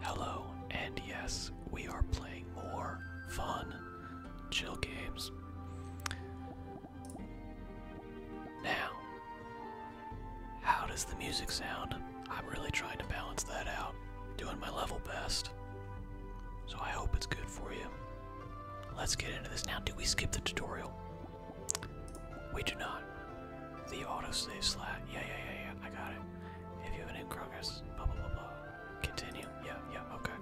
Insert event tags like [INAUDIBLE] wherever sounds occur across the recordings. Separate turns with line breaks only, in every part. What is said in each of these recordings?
Hello, and yes, we are playing more fun, chill games. Now, how does the music sound? I'm really trying to balance that out, doing my level best. So I hope it's good for you. Let's get into this now. Do we skip the tutorial? We do not. The auto autosave slot. Yeah, yeah, yeah, yeah. I got it. If you have an in progress, blah, blah, blah, blah. Continue. Yeah, yeah, okay.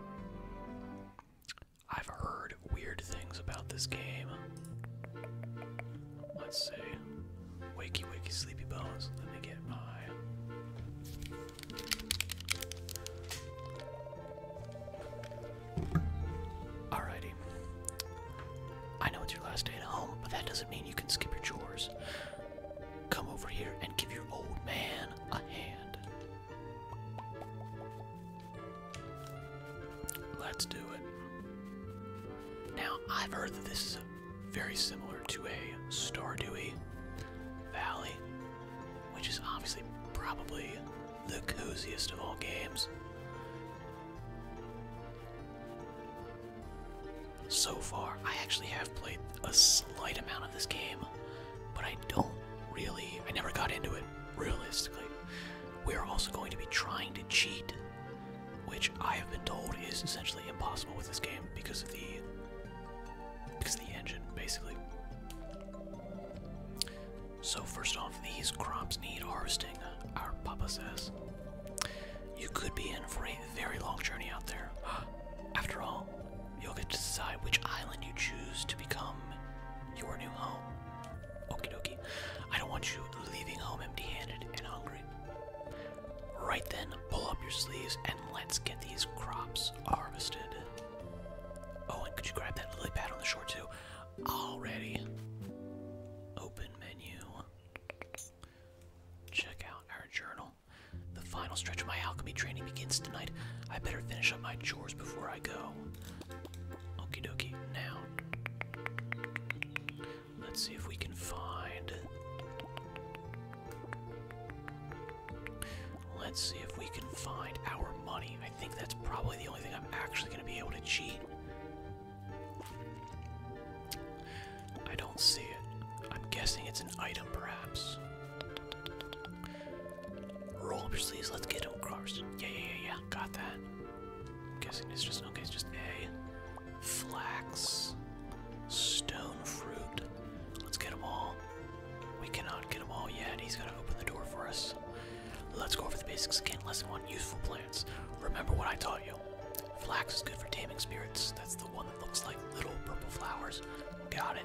I've heard weird things about this game. Let's see. Wakey, wakey, sleepy bones. Let me get my. Alrighty. I know it's your last day at home, but that doesn't mean you can skip your chores. Come over here and give your old man a hand. Let's do it. Now, I've heard that this is very similar to a Stardewy Valley, which is obviously probably the coziest of all games. So far, I actually have played a slight amount of this game, but I don't really, I never got into it realistically. We are also going to be trying to cheat, which I have been told is essentially impossible with this game because of the because of the engine, basically. So first off, these crops need harvesting, our papa says. You could be in for it very long journey out there. [GASPS] After all, you'll get to decide which island you choose to become your new home. Okie dokie. I don't want you leaving home empty handed and hungry. Right then, pull up your sleeves and let's get these crops harvested. Oh, and could you grab that lily pad on the shore too? Already. Open menu. Check out our journal. The final stretch of my alchemy training begins tonight. I better finish up my chores before I go. Okie dokie, now. Let's see if we can find. Let's see if we can find our money. I think that's probably the only thing I'm actually going to be able to cheat. I don't see it. I'm guessing it's an item, perhaps. Roll up your sleeves, let's get across. Yeah, yeah, yeah, yeah, got that. I'm guessing it's just, okay, it's just A. Flax. Stone fruit. Let's get them all. We cannot get them all yet. He's going to open the door for us. Let's go over the basics again. Lesson one: useful plants. Remember what I taught you. Flax is good for taming spirits. That's the the one that looks like little purple flowers. Got it.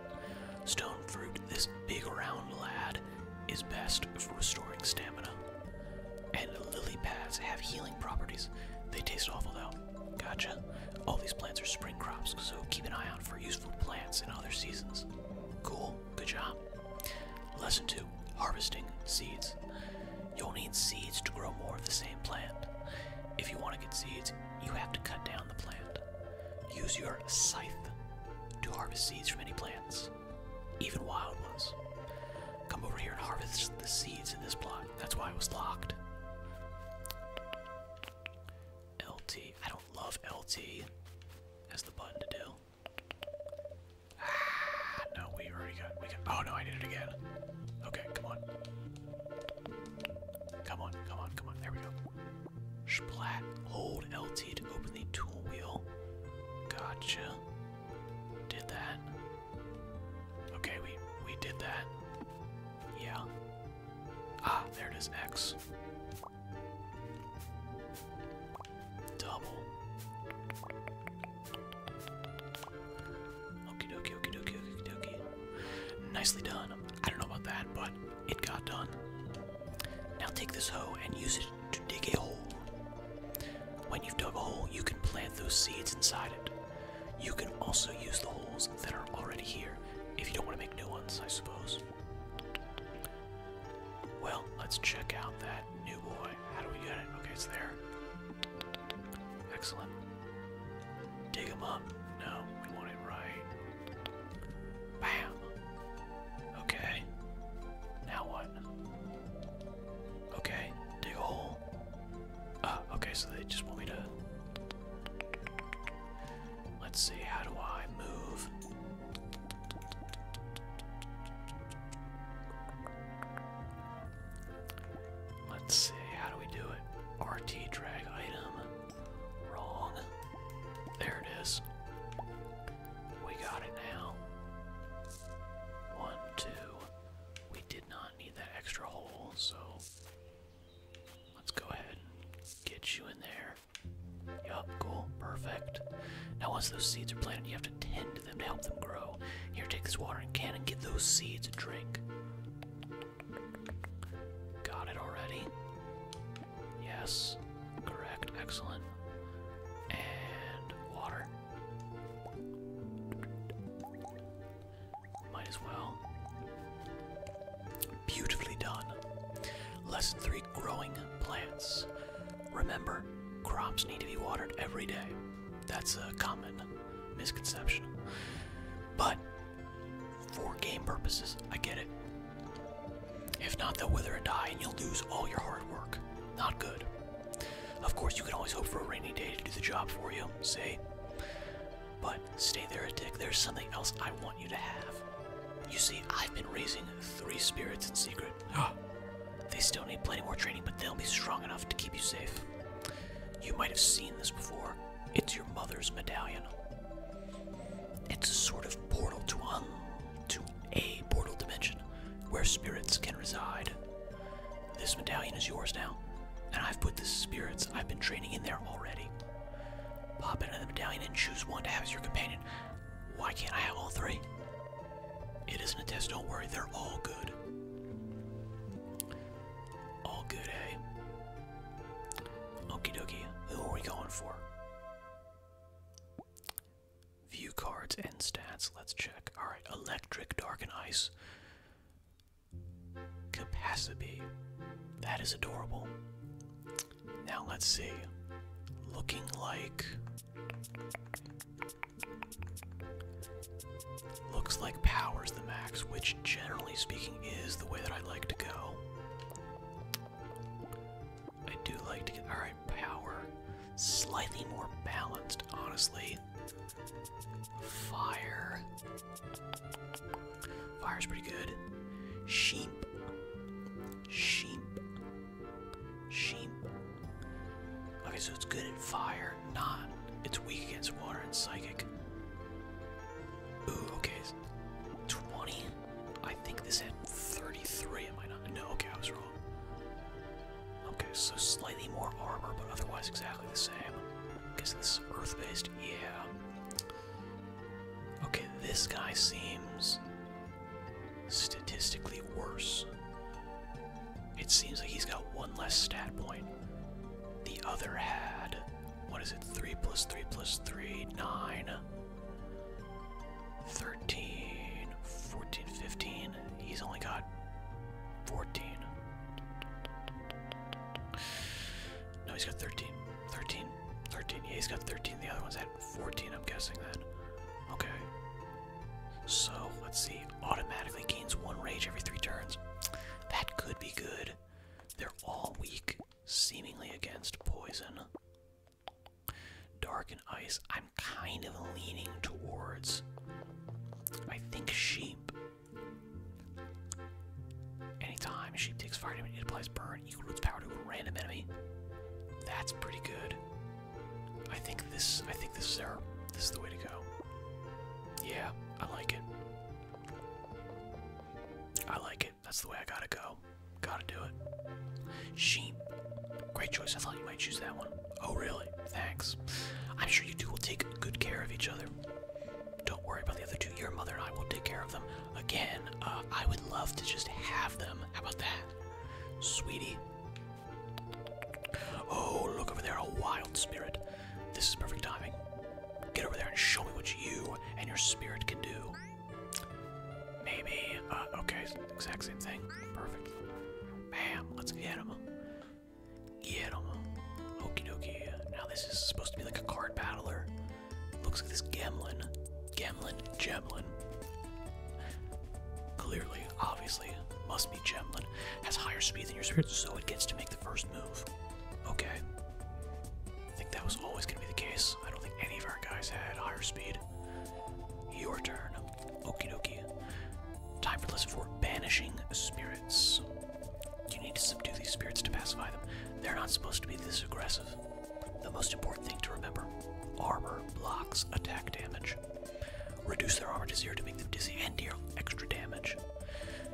Stone fruit, this big round lad, is best for restoring stamina. And lily pads have healing properties. They taste awful though. Gotcha. All these plants are spring crops, so keep an eye out for useful plants in other seasons. Cool. Good job. Lesson 2 Harvesting Seeds. You'll need seeds to grow more of the same plant. If you want to get seeds, you have to cut down the plant. Use your scythe to harvest seeds from any plants, even wild ones. Come over here and harvest the seeds in this block. That's why it was locked. LT. I don't love LT as the button to do. Ah, no, we already got. Oh no, I did it again. Okay, come on. Come on, come on, come on. There we go. Splat. Hold LT to open the tool wheel. Gotcha. Did that. Okay, we we did that. Yeah. Ah, there it is, X. Double. Okie dokie, okie dokie, okie dokie. Nicely done. I don't know about that, but it got done. Now take this hoe and use it to dig a hole. When you've dug a hole, you can plant those seeds inside it. You can also use the holes that are already here if you don't want to make new ones, I suppose. Well, let's check out that new boy. How do we get it? Okay, it's there. Excellent. Dig them up. No, we want it right. Bam. Okay. Now what? Okay, dig a hole. Ah, okay, so they just want me to. Let's see, how do I move? Let's see, how do we do it? RT drag item. Wrong. There it is. We got it now. One, two. We did not need that extra hole, so let's go ahead and get you in there. Yup, cool, perfect. Now, once those seeds are planted, you have to tend to them to help them grow. Here, take this watering can and give those seeds a drink. Got it already. Yes. Correct. Excellent. And water. Might as well. Beautifully done. Lesson 3 Growing Plants. Remember, crops need to be watered every day. That's a common misconception. But for game purposes. I get it. If not, they'll wither and die, and you'll lose all your hard work. Not good. Of course, you can always hope for a rainy day to do the job for you, say. But stay there a There's something else I want you to have. You see, I've been raising three spirits in secret. Ah. they still need plenty more training, but they'll be strong enough to keep you safe. You might have seen this before. It's your mother's medallion. It's a sort of portal to a portal dimension where spirits can reside. This medallion is yours now, and I've put the spirits I've been training in there already. Pop into the medallion and choose one to have as your companion. Why can't I have all three? It isn't a test, don't worry, they're all good. All good, eh? Okie dokie, who are we going for? View cards and stats, let's check. Alright, electric, dark, and ice. Capacity. That is adorable. Now let's see. Looking like Looks like power's the max, which generally speaking is the way that I like to go. I do like to get, alright, power. Slightly more balanced, honestly. Fire. Fire's pretty good. Sheep. Sheep. Sheep. Okay, so it's good at fire, not. It's weak against water and psychic. Ooh, okay. 20? I think this had 33, am I not? No, okay, I was wrong. Okay, so slightly more armor, but otherwise exactly the same. I guess this is earth-based, yeah. Okay, this guy seems statistically worse. It seems like he's got one less stat point. The other had what is it? 3 plus 3 plus 3, 9, 13, 14, 15. He's only got 14. No, he's got 13. 13. 13. Yeah, he's got 13. The other one's had 14, I'm guessing then. Okay. So, let's see. Automatically gains one rage every three turns. That could be good. They're all weak, seemingly against poison. Dark and ice, I'm kind of leaning towards. I think sheep. Anytime sheep takes fire damage, it applies burn equal to its power to a random enemy. That's pretty good. I think this. I think this is This is the way to go. Yeah, I like it. I like it. That's the way I gotta go. Gotta do it. Sheep. Great choice. I thought you might choose that one. Oh, really? Thanks. I'm sure you two will take good care of each other. Don't worry about the other two. Your mother and I will take care of them. Again, uh, I would love to just have them. How about that? Sweetie. Oh, look over there. A wild spirit. This is perfect timing. Get over there and show me what you and your spirit can do. Maybe, uh, okay, exact same thing. Perfect. Bam, let's get him. Get him. Now this is supposed to be like a card battler. Looks like this Gemlin. Gemlin, Gemlin. Clearly, obviously, must be Gemlin. Has higher speed than your spirit, so it gets to make the first move. Okay. I think that was always going to be the case. I don't think any of our guys had higher speed. Your turn. Okie Time for lesson four banishing spirits. You need to subdue these spirits to pacify them. They're not supposed to be this aggressive. The most important thing to remember armor blocks attack damage. Reduce their armor to zero to make them dizzy and deal extra damage.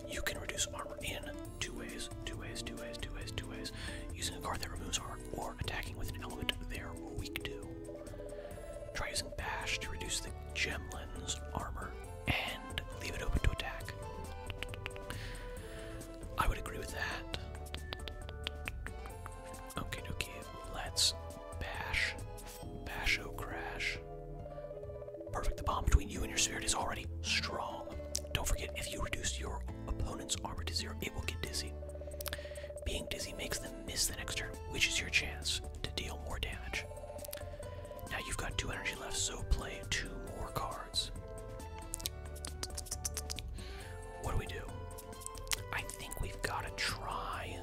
You can reduce armor in Two ways, two ways, two ways, two ways, two ways. Using a card that removes harm or attacking with an element they're weak to. Try using Bash to reduce the Gemlin's armor and leave it open to attack. I would agree with that. Okay, okay, let's bash. Bash-o-crash. Oh, Perfect. The bond between you and your spirit is already strong. Don't forget, if you reduce your opponent's armor to zero, it will get dizzy. Being dizzy makes them miss the next turn, which is your chance to deal more damage. Now you've got two energy left, so play two more cards. What do we do? I think we've got to try.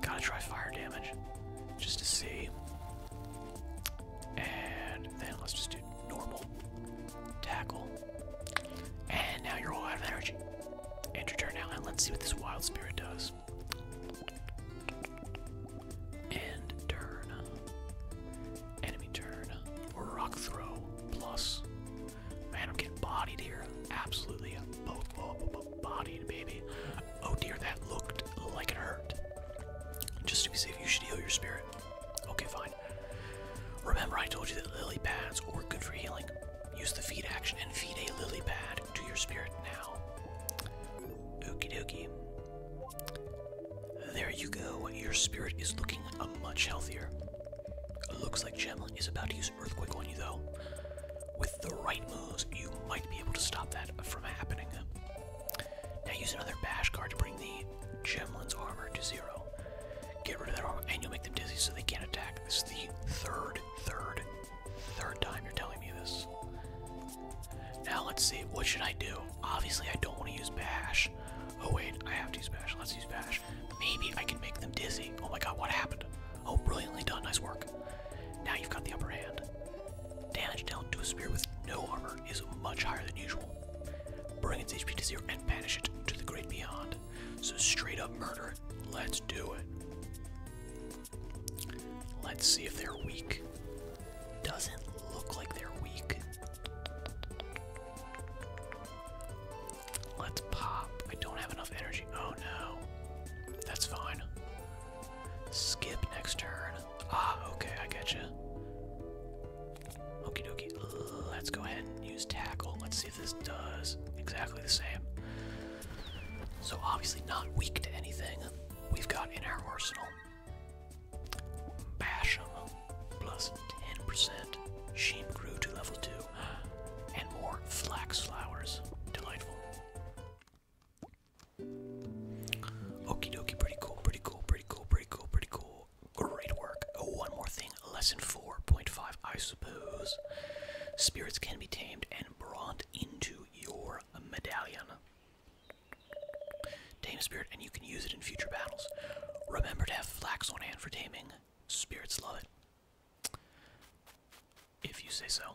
Gotta try fire damage. Just to see. And then let's just do normal tackle. And now you're all out of energy. End your turn now, and let's see what this wild spirit does. End turn. Enemy turn. Rock throw plus. Man, I'm getting bodied here. Absolutely bodied, baby. Oh dear, that looked like it hurt. Just to be safe, you should heal your spirit. Okay, fine. Remember, I told you that lily pads were good for healing. Use the feed action and feed a lily pad to your spirit now. Okie dokie. There you go. Your spirit is looking uh, much healthier. Looks like Gemma is about to use Earthquake on you, though. With the right moves, you might be able to stop that from happening. Now use another bash card to bring the Gemlin's armor to zero. Get rid of that armor, and you'll make them dizzy so they can't attack. This is the third, third, third time you're telling me this. Now let's see, what should I do? Obviously, I don't want to use bash. Oh wait, I have to use bash. Let's use bash. Maybe I can make them dizzy. Oh my god, what happened? Oh, brilliantly done. Nice work. Now you've got the upper hand. Damage dealt to a spear with no armor is much higher than usual. Bring its HP to zero and banish it to the great beyond. So straight up murder. Let's do it. Let's see if they're weak. Doesn't look like they're weak. Let's pop. I don't have enough energy. Oh no. That's fine. Skip next turn. Ah, okay, I getcha. Okie dokie. Let's go ahead and use tackle. Let's see if this does exactly the same. So, obviously, not weak to anything we've got in our arsenal. Bash 'em. Plus 10%. Sheep grew to level 2. And more flax flowers. Delightful. Okie dokie, pretty cool, pretty cool, pretty cool, pretty cool, pretty cool. Great work. Oh, one more thing. Lesson 4.5, I suppose. Spirits can be tamed and brought into your medallion. Tame spirit, and you can use it in future battles. Remember to have flax on hand for taming. Spirits love it. If you say so.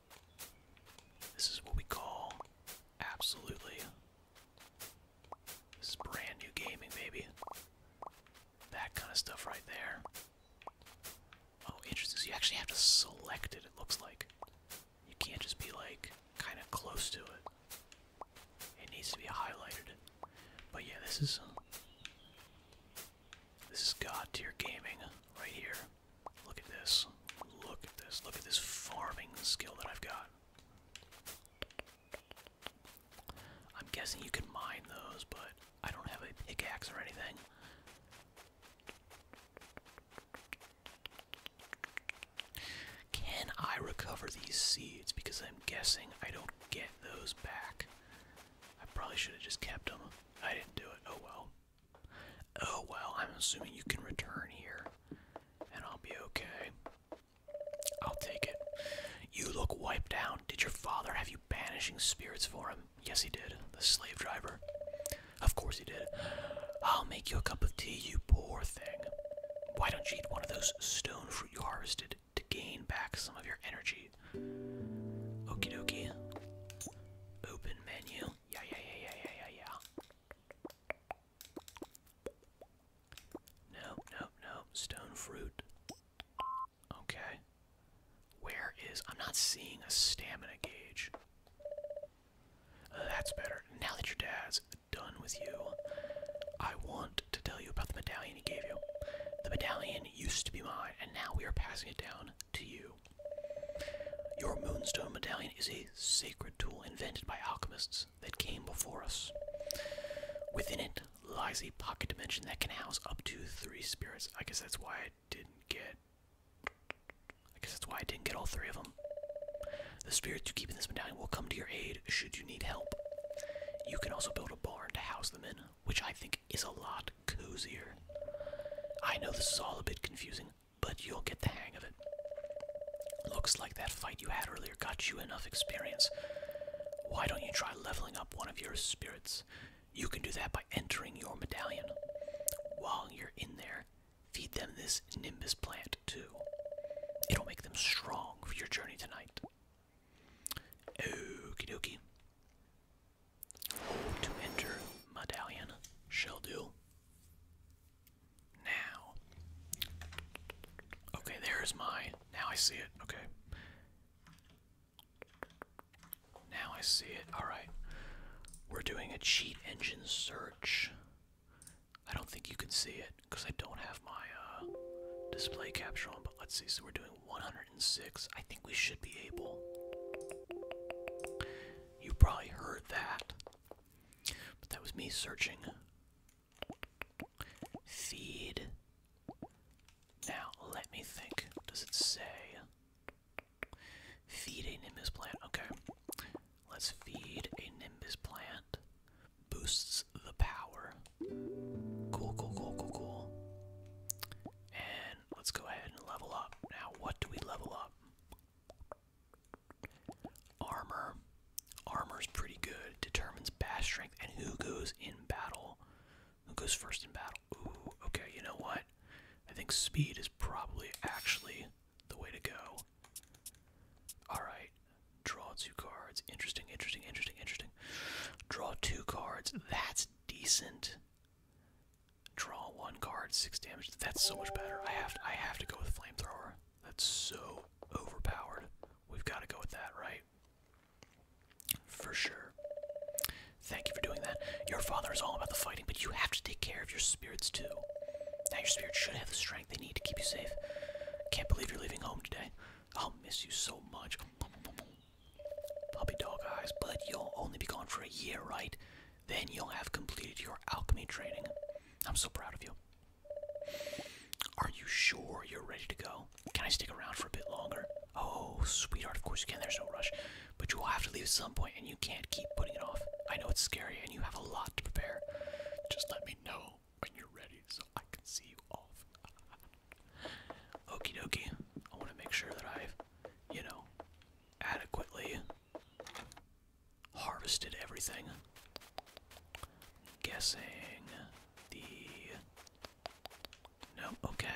This is what we call absolutely. This is brand new gaming, baby. That kind of stuff right there. Oh, interesting. you actually have to select it, it looks like. You can't just be like kind of close to it. It needs to be highlighted. But yeah, this is. This is god tier gaming right here. Look at this. Look at this. Look at this farming skill that I've got. I'm guessing you can mine those, but I don't have a pickaxe or anything. Can I recover these seeds? Because I'm guessing I don't get those back. I probably should have just kept them. I didn't do it. Oh well. Oh well, I'm assuming you can return here and I'll be okay. I'll take it. You look wiped out. Did your father have you banishing spirits for him? Yes, he did. The slave driver. Of course he did. I'll make you a cup of tea, you poor thing. Why don't you eat one of those stone fruit you harvested to gain back some of your energy? Okie dokie. Open menu. Yeah, yeah, yeah, yeah, yeah, yeah, No, no, no. Stone fruit. Okay. Where is... I'm not seeing a stamina gauge. Uh, that's better. Now that your dad's done with you, I want to tell you about the medallion he gave you. The medallion used to be mine, and now we are passing it down to you. Your moonstone medallion is a sacred tool invented by alchemists that came before us. Within it lies a pocket dimension that can house up to three spirits. I guess that's why I didn't get. I guess that's why I didn't get all three of them. The spirits you keep in this medallion will come to your aid should you need help. You can also build a barn to house them in, which I think is a lot cozier. I know this is all a bit confusing, but you'll get the hang of it. Looks like that fight you had earlier got you enough experience. Why don't you try leveling up one of your spirits? You can do that by entering your medallion. While you're in there, feed them this Nimbus plant too. It'll make them strong for your journey tonight. Okie dokie to enter medallion shall do. Now. Okay, there's mine. Now I see it. Okay. Now I see it. Alright. We're doing a cheat engine search. I don't think you can see it because I don't have my uh, display capture on, but let's see. So we're doing 106. I think we should be able. You probably heard that. But that was me searching. Feed. Now, let me think. What does it say? Feed a Nimbus plant. Okay. Let's feed a Nimbus plant. Boosts the power. Cool, cool, cool, cool, cool. And let's go ahead and level up. Now, what do we level up? Armor. Armor's pretty good. Determines bash strength and who goes in battle. Who goes first in battle? Ooh, okay, you know what? I think speed is probably actually the way to go. Alright. Draw two cards. Interesting, interesting, interesting, interesting. Draw two cards. That's decent. Draw one card, six damage. That's so much better. I have to, I have to go with flamethrower. That's so overpowered. We've got to go with that, right? For sure. Thank you for doing that. Your father is all about the fighting, but you have to take care of your spirits too. Now your spirits should have the strength they need to keep you safe. Can't believe you're leaving home today. I'll miss you so much. Puppy dog eyes, but you'll only be gone for a year, right? then you'll have completed your alchemy training. I'm so proud of you. Are you sure you're ready to go? Can I stick around for a bit longer? Oh, sweetheart, of course you can. There's no rush. But you will have to leave at some point, and you can't keep putting it off. I know it's scary, and you have a lot to prepare. Just let me know when you're ready so I can see you off. [LAUGHS] Okey-dokey. I want to make sure that I've, you know, adequately Harvested everything. Guessing the. No, okay.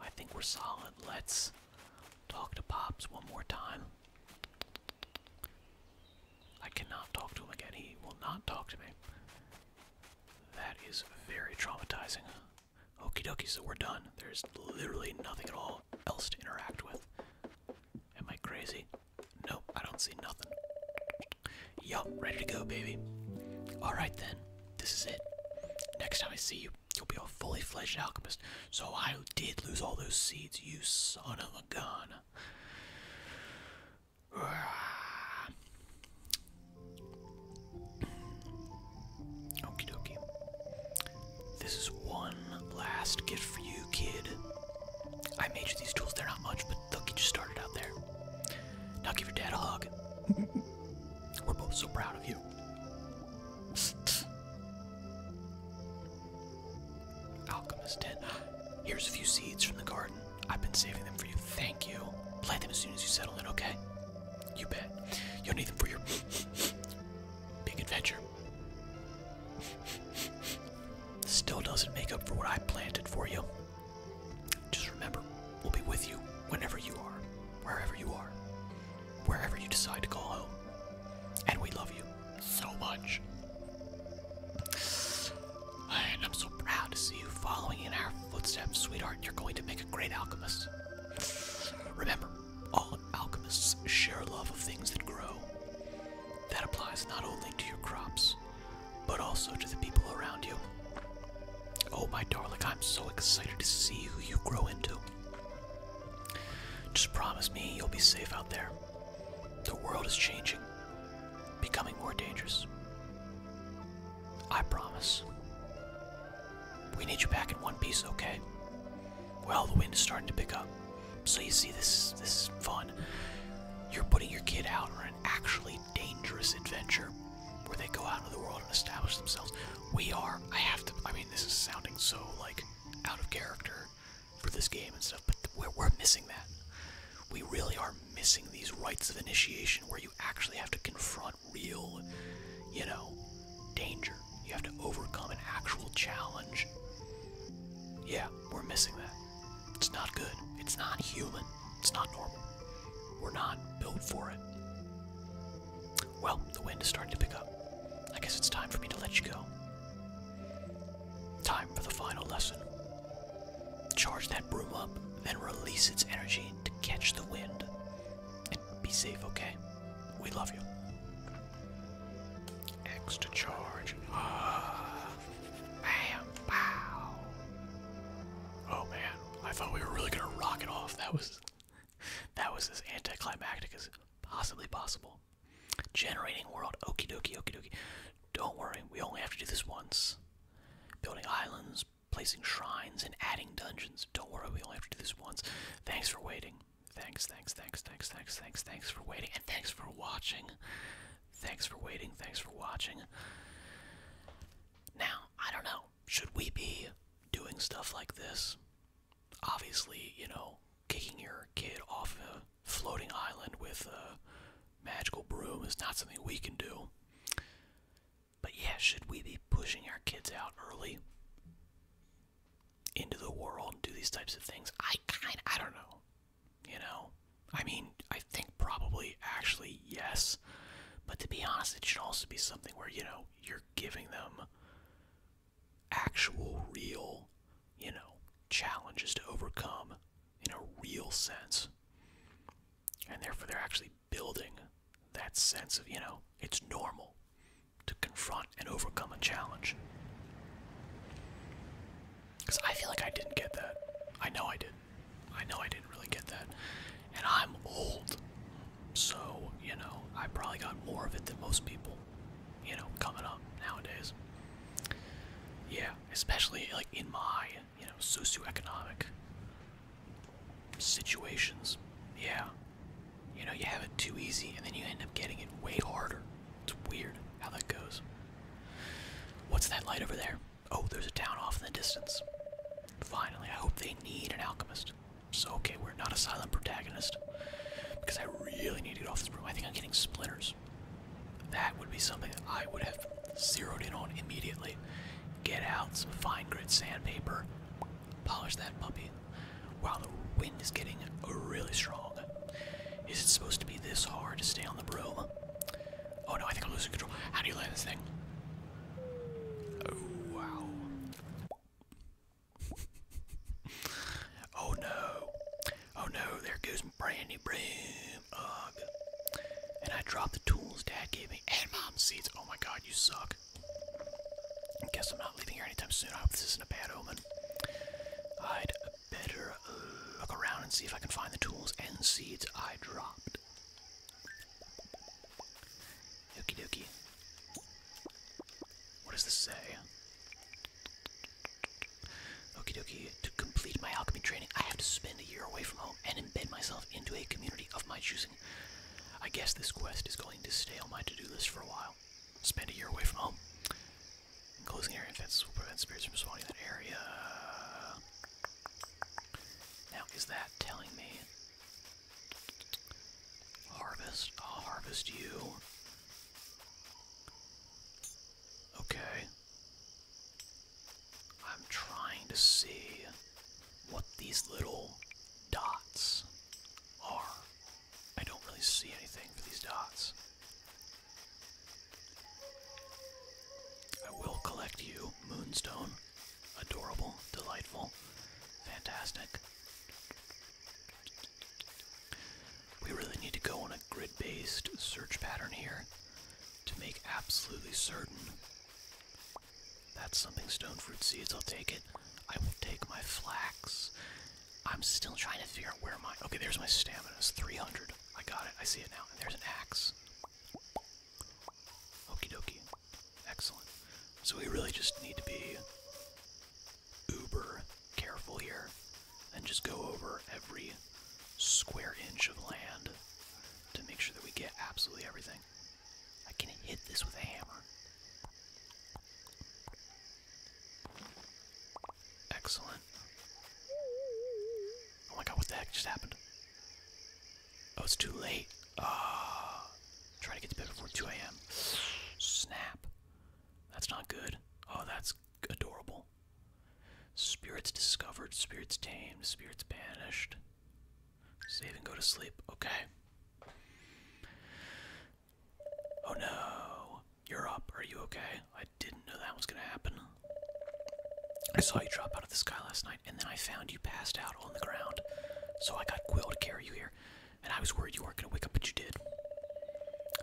I think we're solid. Let's talk to Pops one more time. I cannot talk to him again. He will not talk to me. That is very traumatizing. Okie dokie, so we're done. There's literally nothing at all else to interact with. Am I crazy? Nope, I don't see nothing. Yup, ready to go, baby. Alright then, this is it. Next time I see you, you'll be a fully fledged alchemist. So I did lose all those seeds, you son of a gun. [SIGHS] Okie dokie. This is one last gift for you, kid. I made you these tools. They're not much, but they'll get you started out there. Now give your dad a hug. [LAUGHS] We're both so proud of you. [LAUGHS] Alchemist Here's a few seeds from the garden. I've been saving them for you. Thank you. Plant them as soon as you settle in, okay? You bet. You'll need them for your [LAUGHS] big adventure. Still doesn't make up for what I planted for you. Just remember, we'll be with you whenever you are, wherever you are, wherever you decide to go home. And we love you so much. And I'm so proud to see you following in our footsteps, sweetheart. You're going to make a great alchemist. Remember, all alchemists share a love of things that grow. That applies not only to your crops, but also to the people around you. Oh, my darling, I'm so excited to see who you grow into. Just promise me you'll be safe out there. The world is changing, becoming more dangerous. I promise. We need you back in one piece, okay? Well, the wind is starting to pick up. So you see, this this is fun. You're putting your kid out on an actually dangerous adventure where they go out into the world and establish themselves. We are. I have to. I mean, this is sounding so like out of character for this game and stuff, but we're, we're missing that. We really are missing these rites of initiation where you actually have to confront real, you know, danger. You have to overcome an actual challenge. Yeah, we're missing that. It's not good. It's not human. It's not normal. We're not built for it. Well, the wind is starting to pick up. I guess it's time for me to let you go. Time for the final lesson. Charge that broom up, then release its energy to catch the wind. Be safe, okay? We love you. Extra charge. Ah, [SIGHS] bam, pow. Oh man, I thought we were really gonna rock it off. That was, that was as anticlimactic as possibly possible. Generating world. Okey dokie, okey dokie. Don't worry, we only have to do this once. Building islands, placing shrines, and adding dungeons. Don't worry, we only have to do this once. Thanks for waiting. Thanks, thanks, thanks, thanks, thanks, thanks, thanks for waiting, and thanks for watching. Thanks for waiting, thanks for watching. Now, I don't know, should we be doing stuff like this? Obviously, you know, kicking your kid off a floating island with a magical broom is not something we can do. But yeah, should we be pushing our kids out early? into the world and do these types of things? I kind I don't know. You know? I mean, I think probably actually yes. But to be honest, it should also be something where, you know, you're giving them actual real, you know, challenges to overcome in a real sense. And therefore they're actually building that sense of, you know, it's normal to confront and overcome a challenge. Because I feel like I didn't get that. I know I didn't. I know I didn't really get that. And I'm old. So, you know, I probably got more of it than most people, you know, coming up nowadays. Yeah, especially like in my, you know, socioeconomic situations. Yeah, you know, you have it too easy and then you end up getting it way harder. It's weird how that goes. What's that light over there? Oh, there's a town off in the distance. Finally, I hope they need an alchemist. So, okay, we're not a silent protagonist. Because I really need to get off this room. I think I'm getting splinters. That would be something that I would have zeroed in on immediately. Get out some fine grit sandpaper, Polish that puppy. Wow, the wind is getting really strong. Is it supposed to be this hard to stay on the broom? Oh no, I think I'm losing control. How do you land this thing? Oh, wow. oh no. Oh no, there goes my brand broom. Ugh. And I dropped the tools Dad gave me and Mom's seeds. Oh my god, you suck. I guess I'm not leaving here anytime soon. I hope this isn't a bad omen. I'd better look around and see if I can find the tools and seeds I dropped. Okie dokie. What does this say? Okie dokie. To complete my alchemy training, I have to spend a year away from home and embed myself into a community of my choosing. I guess this quest is going to stay on my to do list for a while. Spend a year away from home. Enclosing area fences will prevent spirits from swarming that area. Now, is that telling me? Harvest. I'll harvest you. Okay. I'm trying to see what these little dots are. I don't really see anything for these dots. I will collect you, Moonstone. Adorable, delightful, fantastic. We really need to go on a grid based search pattern here to make absolutely certain. That's something stone fruit seeds, I'll take it. I will take my flax I'm still trying to figure out where my... Okay, there's my stamina. It's 300. I got it. I see it now. And there's an axe. Okie dokie. Excellent. So we really just need to be uber careful here and just go over every square inch of land to make sure that we get absolutely everything. I can hit this with a hammer. Excellent. Oh my god, what the heck just happened? Oh, it's too late. Ah, oh, try to get to bed before 2 a.m. Snap. That's not good. Oh, that's adorable. Spirits discovered, spirits tamed, spirits banished. Save and go to sleep. Okay. Oh no. You're up. Are you okay? I didn't know that was gonna happen. I saw you drop out of the sky last night, and then I found you passed out on the ground. So I got Quill to carry you here, and I was worried you weren't gonna wake up, but you did.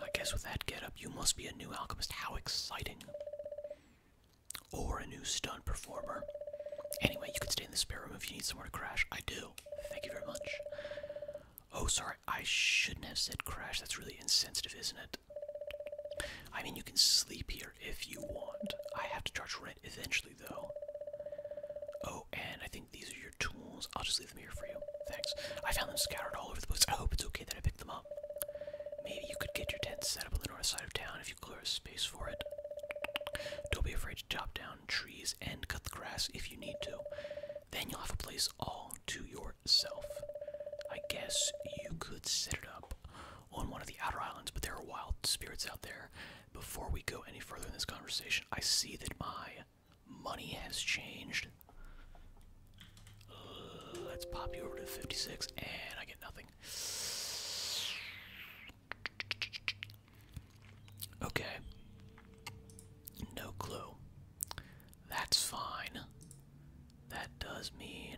I guess with that getup, you must be a new alchemist. How exciting! Or a new stunt performer. Anyway, you can stay in the spare room if you need somewhere to crash. I do. Thank you very much. Oh, sorry, I shouldn't have said crash. That's really insensitive, isn't it? I mean, you can sleep here if you want. I have to charge rent eventually, though. Oh, and I think these are your tools. I'll just leave them here for you. Thanks. I found them scattered all over the place. I hope it's okay that I picked them up. Maybe you could get your tent set up on the north side of town if you clear a space for it. Don't be afraid to chop down trees and cut the grass if you need to then you'll have a place all to yourself. I guess you could set it up on one of the outer islands, but there are wild spirits out there. Before we go any further in this conversation, I see that my money has changed. Uh, let's pop you over to 56, and I get nothing. Okay. No clue. That's fine. That does mean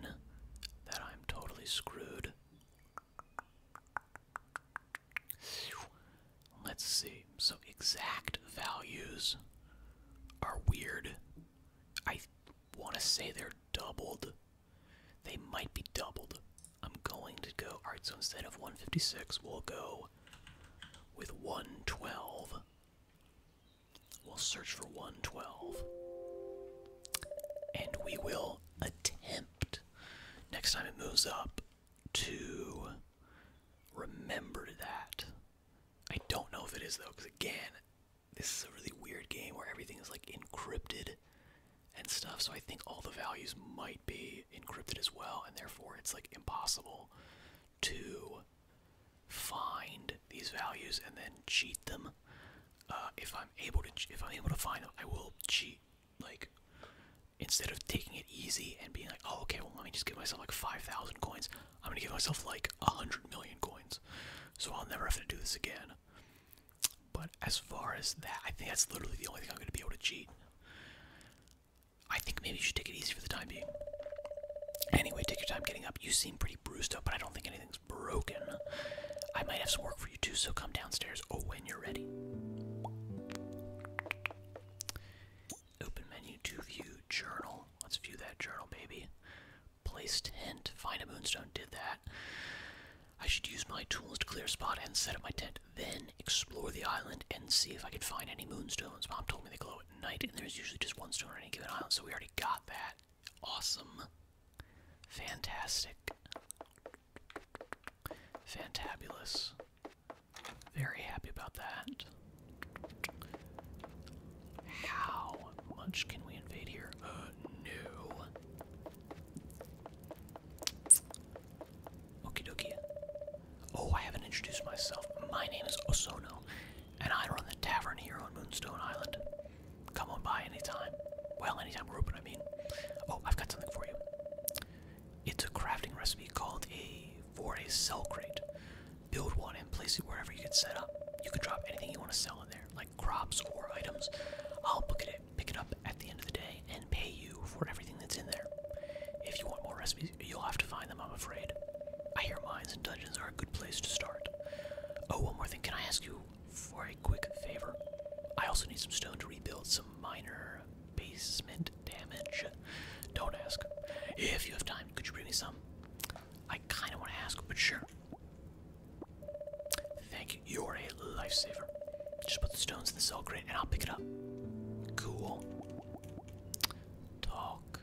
that I'm totally screwed. Let's see. So exact values are weird. I want to say they're doubled. They might be doubled. I'm going to go. Alright, so instead of 156, we'll go with 112. We'll search for 112. And we will attempt next time it moves up to remember that. I don't know if it is though, because again, this is a really weird game where everything is like encrypted and stuff, so I think all the values might be encrypted as well, and therefore it's like impossible to find these values and then cheat them. Uh, if I'm able to, if I'm able to find them, I will cheat. Like instead of taking it easy and being like, oh, okay, well, let me just give myself like five thousand coins. I'm gonna give myself like a hundred million coins, so I'll never have to do this again. But as far as that, I think that's literally the only thing I'm gonna be able to cheat. I think maybe you should take it easy for the time being. Anyway, take your time getting up. You seem pretty bruised up, but I don't think anything's broken. I might have some work for you too, so come downstairs oh when you're ready. Open menu to view journal. Let's view that journal, baby. Placed hint. Find a moonstone. Did that. I should use my tools to clear spot and set up my tent. Then explore the island and see if I can find any moonstones. Mom told me they glow knight, and there's usually just one stone on any given island, so we already got that. Awesome. Fantastic. Fantabulous. Very happy about that. How much can we invade here? Uh, no. Okie dokie. Oh, I haven't introduced myself. My name is Osono, and I run the tavern here on Moonstone Island. Come on by anytime. Well, anytime we're open, I mean. Oh, I've got something for you. It's a crafting recipe called a for a sell crate. Build one and place it wherever you get set up. You can drop anything you want to sell in there, like crops or items. I'll pick it, pick it up at the end of the day and pay you for everything that's in there. If you want more recipes, You'll have to find them, I'm afraid. I hear mines and dungeons are a good place to start. Oh, one more thing. Can I ask you for a quick favor? I also need some stone to rebuild some minor basement damage. Don't ask. If you have time, could you bring me some? I kind of want to ask, but sure. Thank you. You're a lifesaver. Just put the stones in the cell crate and I'll pick it up. Cool. Talk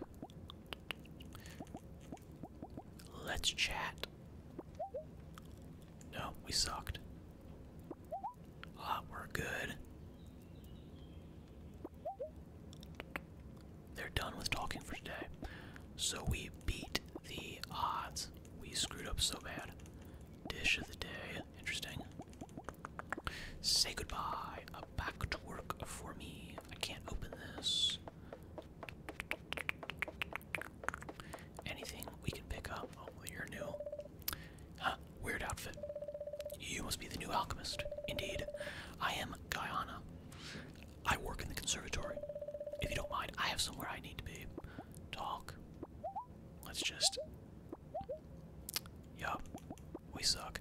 Let's chat. No, we sucked. Ah, we're good. They're done with talking for today. So we beat the odds. We screwed up so bad. Dish of the day. Interesting. Say goodbye. back to work for me. I can't open this. Anything we can pick up. Oh, you're new. Huh, weird outfit. You must be the new alchemist. Indeed. I am Guyana. I work in the conservatory. If you don't mind, I have somewhere I need to be. Talk. Let's just. Yup. We suck.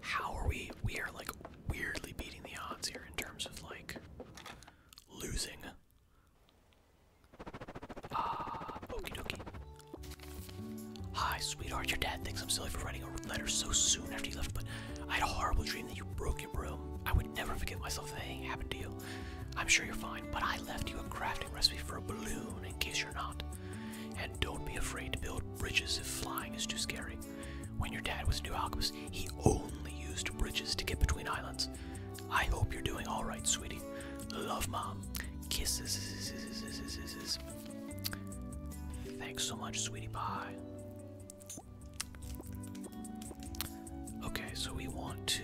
How are we? We are like weirdly beating the odds here in terms of like losing. Ah, uh, okie Hi, sweetheart. Your dad thinks I'm silly for writing a letter so soon after you left, but I had a horrible dream that you broke your broom. I would never forgive myself if anything happened to you. I'm sure you're fine, but I left you a crafting recipe for a balloon in case you're not. And don't be afraid to build bridges if flying is too scary. When your dad was a new alchemist, he only used bridges to get between islands. I hope you're doing alright, sweetie. Love, Mom. Kisses. Thanks so much, sweetie pie. Okay, so we want to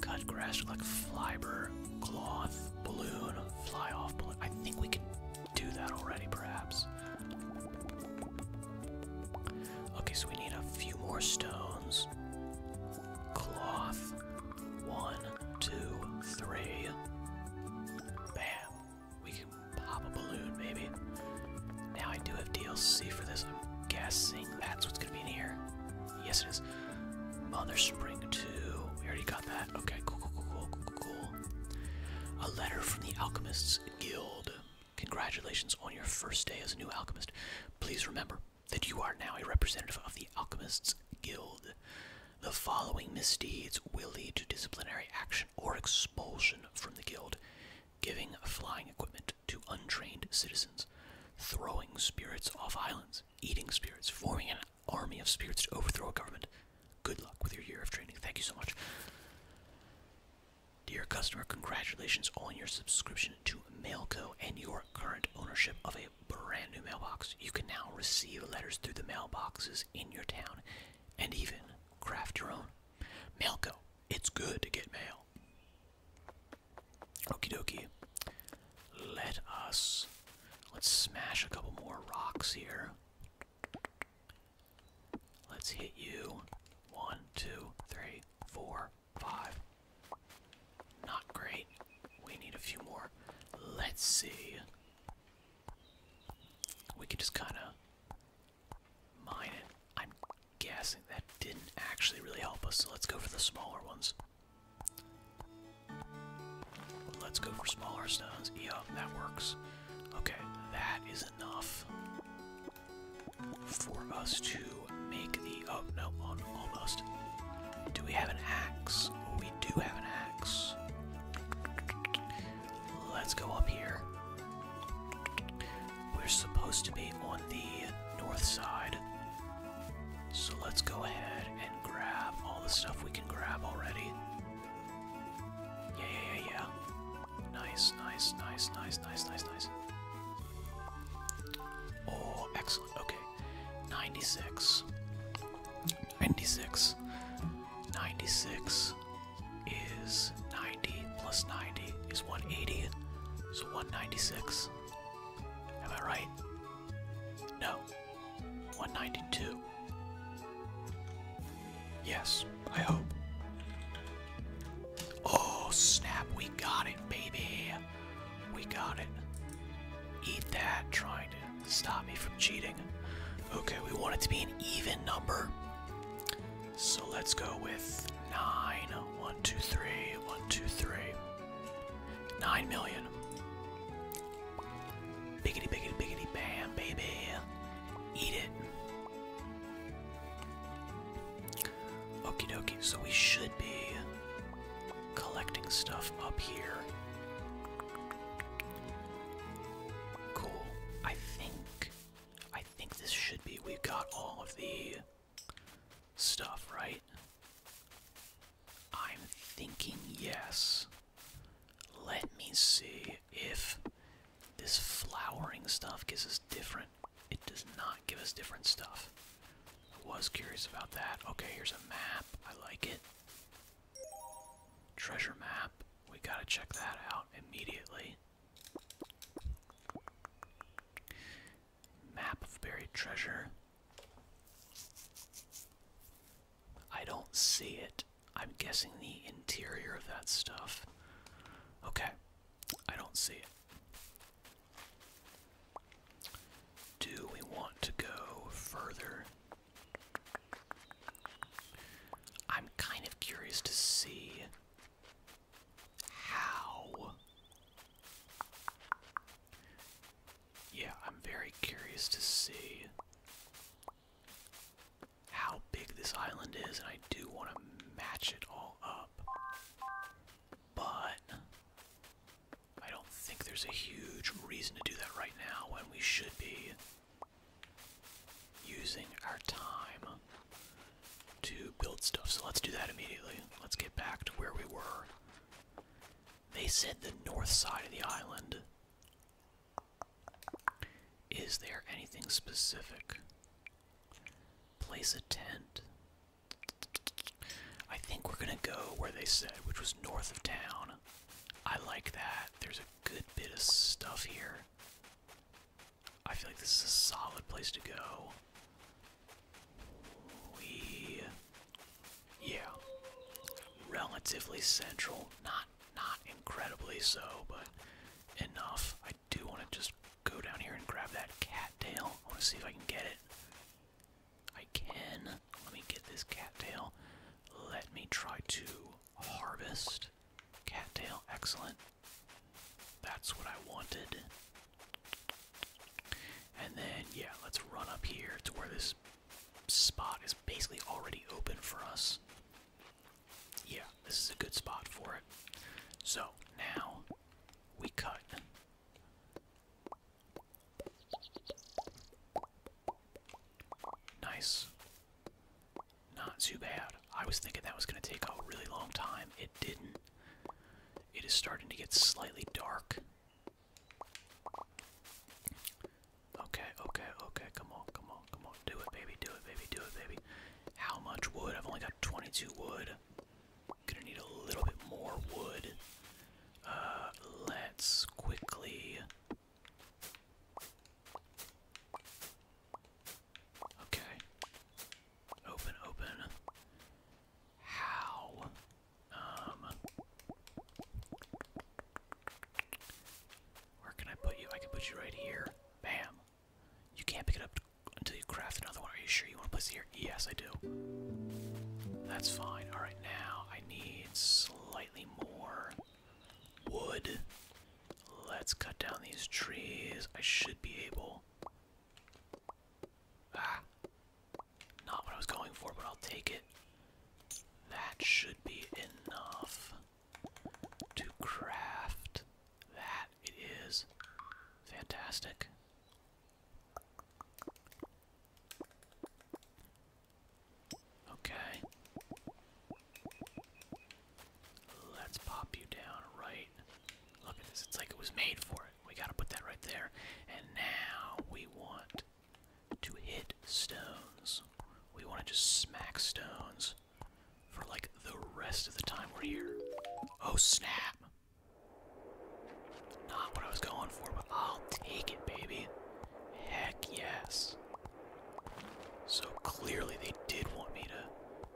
Cut grass like fiber, cloth, balloon, fly off balloon. I think we can do that already, perhaps. Okay, so we need a few more stones. Cloth. One, two, three. Bam. We can pop a balloon, maybe. Now I do have DLC for this. I'm guessing that's what's gonna be in here. Yes, it is. Mother Spring too. We already got that. Okay, cool, cool, cool, cool, cool. A letter from the Alchemists Guild. Congratulations on your first day as a new alchemist. Please remember that you are now a representative of the Alchemists Guild. The following misdeeds will lead to disciplinary action or expulsion from the guild giving flying equipment to untrained citizens, throwing spirits off islands eating spirits, forming an army of spirits to overthrow a government. Good luck with your year of training. Thank you so much. Dear customer, congratulations on your subscription to Mailco and your current ownership of a brand new mailbox. You can now receive letters through the mailboxes in your town and even craft your own. Mailco, it's good to get mail. Okie dokie. Let us. Let's smash a couple more rocks here. Let's hit you. One, two, three, four, five. Not great. We need a few more. Let's see. We can just kind of mine it. I'm guessing that didn't actually really help us, so let's go for the smaller ones. Let's go for smaller stones. Yup, that works. Okay, that is enough for us to make the. Oh, no, on, almost. Do we have an axe? We do have an axe. Let's go up here. We're supposed to be on the north side. So let's go ahead and grab all the stuff we can grab already. Yeah, yeah, yeah, Nice, nice, nice, nice, nice, nice, nice. Oh, excellent. Okay. 96. 96. 96 is 90 plus 90 is 180. So 196. Am I right? No. 192. Yes, I hope. Oh, snap. We got it, baby. We got it. Eat that, trying to stop me from cheating. Okay, we want it to be an even number. So let's go with 9. 1, 2, 3. 1, 2, 3. Nine million. Biggity, biggity, biggity, bam, baby. Eat it. Okie dokie, so we should be collecting stuff up here. Cool. I think. I think this should be. we got all of the stuff, right? I'm thinking yes. Let me see if this flowering stuff gives us different. It does not give us different stuff. I was curious about that. Okay, here's a map. I like it. Treasure map. We gotta check that out immediately. Map of buried treasure. I don't see it. I'm guessing the interior of that stuff. Okay, I don't see it. Do we want to go further? I'm kind of curious to see how yeah, I'm very curious to see how big this island is, and I do want to match it all up. But I don't think there's a huge reason to do that right now when we should be using our time to build stuff. So let's do that immediately. Let's get back to where we were they said the north side of the island. Is there anything specific? Place a tent. I think we're gonna go where they said, which was north of town. I like that. There's a good bit of stuff here. I feel like this is a solid place to go. We yeah. Relatively central. Not not incredibly so, but enough. I do want to just go down here and grab that cattail. I want to see if I can get it. I can. Let me get this cattail. Let me try to harvest. Cattail, excellent. That's what I wanted. And then, yeah, let's run up here to where this spot is basically already open for us. Yeah, this is a good spot for it. So, now we cut. Nice. Not too bad. I was thinking that was going to take a really long time. It didn't. It is starting to get slightly dark. Okay, okay, okay, come on, come on, come on. Do it, baby, do it, baby, do it, baby. How much wood? I've only got 22 wood. Gonna need a little bit more wood. Uh, let's quickly. Okay. Open, open. How um, where can I put you? I can put you right here. Bam. You can't pick it up until you craft another one. Are you sure you want to place it here? Yes, I do. That's fine. All right, now I need slightly more wood. Let's cut down these trees. I should be able. Ah. Not what I was going for, but I'll take it. That should be enough to craft that. It is fantastic. Okay. Let's pop you down right. Look at this. It's like it was made for it. We gotta put that right there. And now we want to hit stones. We want to just smack stones for like the rest of the time we're here. Oh snap! Not what I was going for, but I'll take it, baby. Heck yes. So clearly they did want me to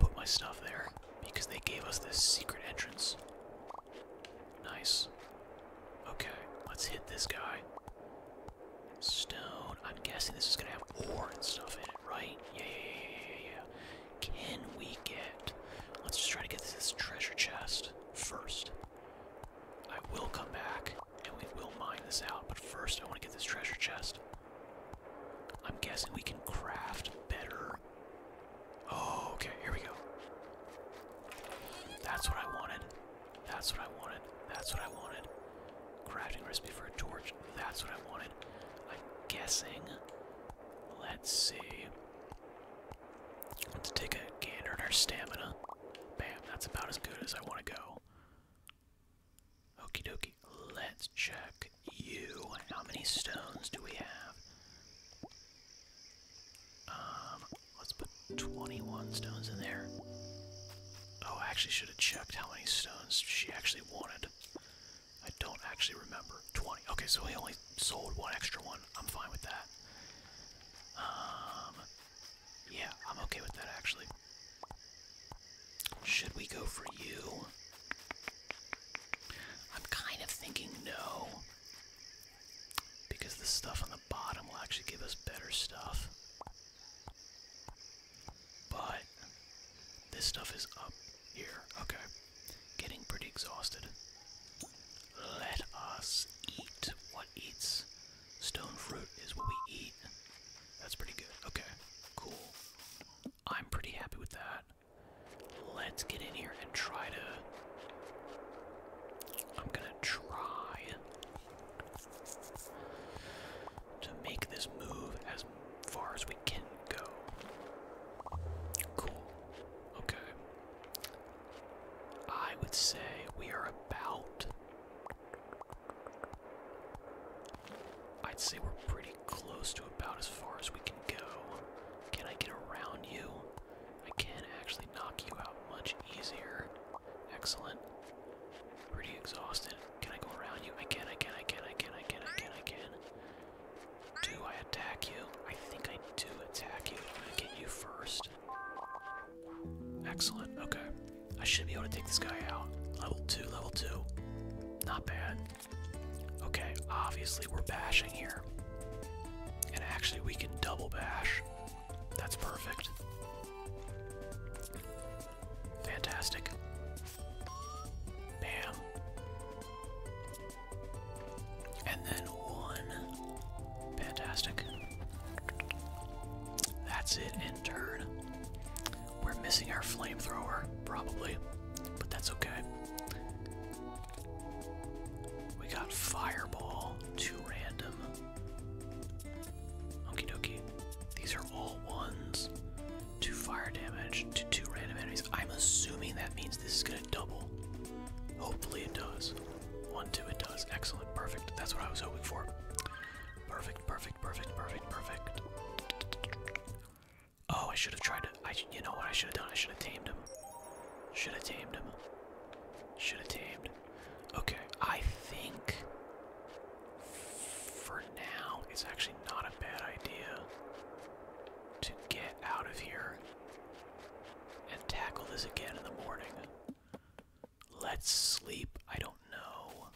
put my stuff there because they gave us this secret entrance. Nice. Okay, let's hit this guy. Stone. I'm guessing this is gonna have ore and stuff in it, right? Yeah, yeah, yeah, yeah, yeah. Can we get? Let's just try to get to this treasure chest first. I will come back and we will mine this out, but first I want to get this treasure chest. I'm guessing we can craft better Oh, okay, here we go. That's what I wanted. That's what I wanted. That's what I wanted. Crafting recipe for a torch. That's what I wanted. I'm guessing. Let's see. Let's take a gander at our stamina. Bam, that's about as good as I want to go. Okie dokie. Let's check you. How many stones do we have? Um, let's put 21 stones in there. Oh, I actually should have checked how many stones she actually wanted. I don't actually remember. 20. Okay, so we only sold one extra one. I'm fine with that. Um, yeah, I'm okay with that actually. Should we go for you? I'm kind of thinking no. Because the stuff on the bottom will actually give us better stuff. But this stuff is up here. Okay. Getting pretty exhausted. Let us eat what eats. Stone fruit is what we eat. That's pretty good. Okay, cool. I'm pretty happy with that. Let's get in here gonna try to. I'm gonna try to make this move as far as we can go. Cool. Okay. I would say we are about. I'd say we're pretty close to about as far as we can go. Can I get around you? I can actually knock you out much easier. Excellent. Pretty exhausted. Can I go around you? I can, I can, I can, I Do I attack you? I think I do attack you. I'm gonna get you first. Excellent, okay. I should be able to take this guy out. Level 2, level 2. Not bad. Okay, obviously we're bashing here. And actually we can double bash. That's perfect. Fantastic. Bam. And then one. Fantastic. That's it, end turn. We're missing our flamethrower, probably, but that's okay. We got Fireball, two random. Okie dokie. These are all ones. Two fire damage to two random enemies. I'm assuming that means this is gonna double. Hopefully it does. One, two, it does. Excellent, perfect. That's what I was hoping for. Perfect, perfect, perfect, perfect, perfect. Oh, I should have tried to. I, you know what I should have done? I should have tamed him. Should have tamed him. Should have tamed. Okay, I think for now it's actually not a bad idea to get out of here and tackle this again in the morning. Let's sleep. I don't know.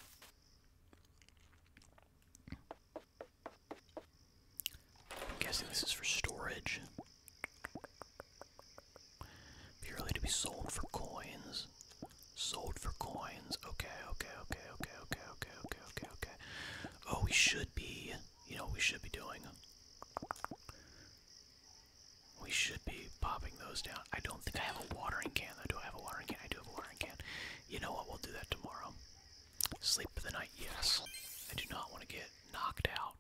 I'm guessing this is for storage. Be to be sold for coins. Sold for coins. Okay, okay, okay, okay, okay, okay, okay, okay, okay. Oh, we should be. You know we should be doing? We should be popping those down. I don't think I have a watering can, though. Do have a watering can? I do have a watering can. You know what? We'll do that tomorrow. Sleep for the night, yes. I do not want to get knocked out.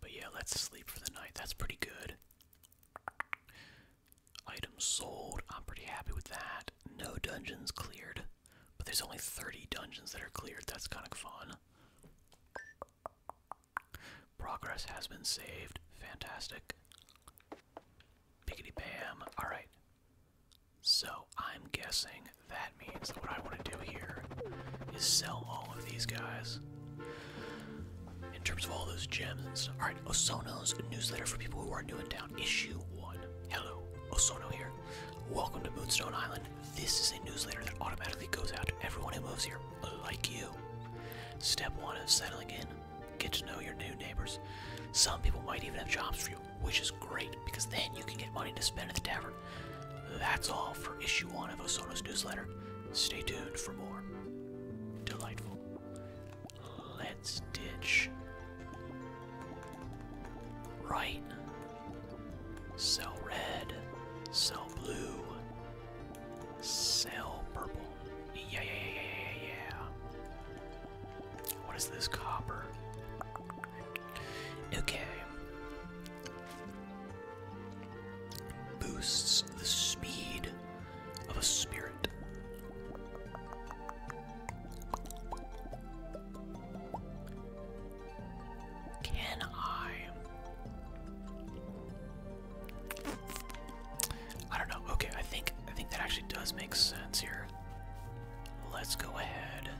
But yeah, let's sleep for the night. That's pretty good. Items sold. I'm pretty happy with that. No dungeons cleared. But there's only 30 dungeons that are cleared. That's kind of fun. Progress has been saved. Fantastic. bam. Alright. So I'm guessing that means what I want to do here is sell all of these guys. In terms of all those gems Alright, Osono's newsletter for people who are new in town. Issue 1. Hello, Osono here. Welcome to Moonstone Island. This is a newsletter that automatically goes out to everyone who moves here, like you. Step 1 is settling in. Get to know your new neighbors. Some people might even have jobs for you, which is great because then you can get money to spend at the tavern. That's all for issue one of Osono's newsletter. Stay tuned for more. Delightful. Let's ditch. Right. Sell red. Sell blue. Sell purple. Yeah, yeah, yeah, yeah, yeah. What is this copper? Okay boosts the speed of a spirit. Can I? I don't know. Okay, I think I think that actually does make sense here. Let's go ahead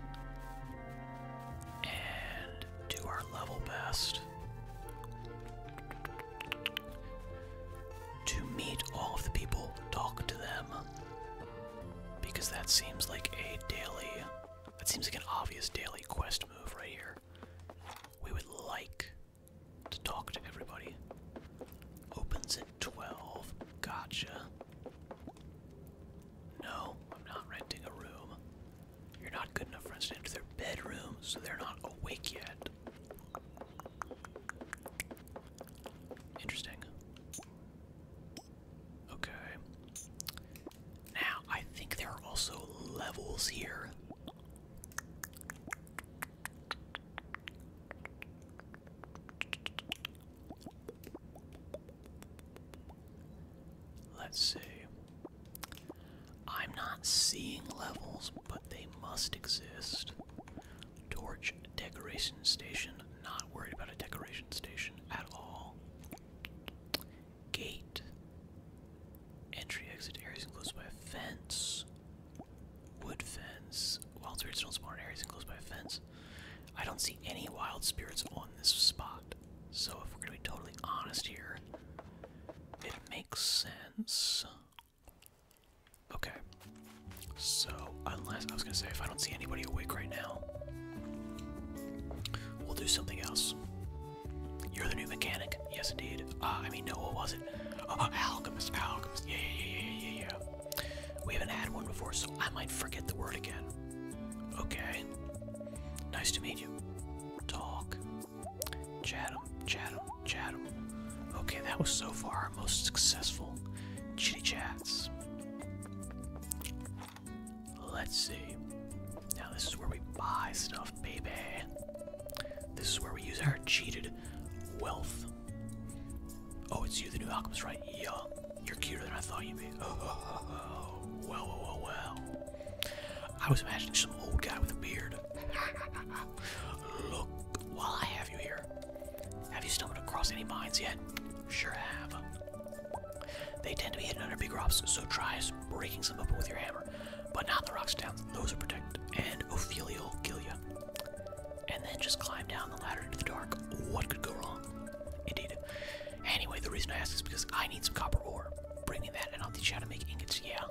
and do our level best to meet all of the people, talk to them, because that seems like a daily, that seems like an obvious daily quest move right here. We would like to talk to everybody. Opens at 12. Gotcha. No, I'm not renting a room. You're not good enough for us to enter their bedroom, so they're not awake yet. Interesting. Okay. Now, I think there are also levels here. Let's see. I'm not seeing levels, but they must exist. Torch decoration station. Not worried about a decoration station at all. Gate. Entry exit areas enclosed by a fence. Wood fence. Wild spirits don't spawn areas enclosed by fence. I don't see any wild spirits on this spot. So if we're gonna be totally honest here, it makes sense. Okay. So unless I was gonna say if I don't see anybody awake right now, we'll do something else. You're the new mechanic, yes indeed. Ah, I mean, no, what was it? Oh, oh, alchemist, alchemist. yeah, yeah, yeah, yeah, yeah. We haven't had one before, so I might forget the word again. Okay. Nice to meet you. Talk. Chatham, Chatham, Chatham. Okay, that was so far our most successful chitty chats. Let's see. Now, this is where we buy stuff, baby. This is where we use our cheated wealth. Oh, it's you, the new alchemist, right? Yeah. You're cuter than I thought you'd be. Oh, oh, oh, oh. well, well, well, well. I was imagining some old guy with a beard. Look, while I have you here, have you stumbled across any mines yet? Sure have. They tend to be hidden under big rocks, so try breaking some open with your hammer, but not the rocks down. Those are protected, and Ophelia will kill you. And then just climb down the ladder into the dark. What could go wrong? Indeed. Anyway, the reason I ask is because I need some copper ore. Bring me that and I'll teach you how to make ingots, yeah?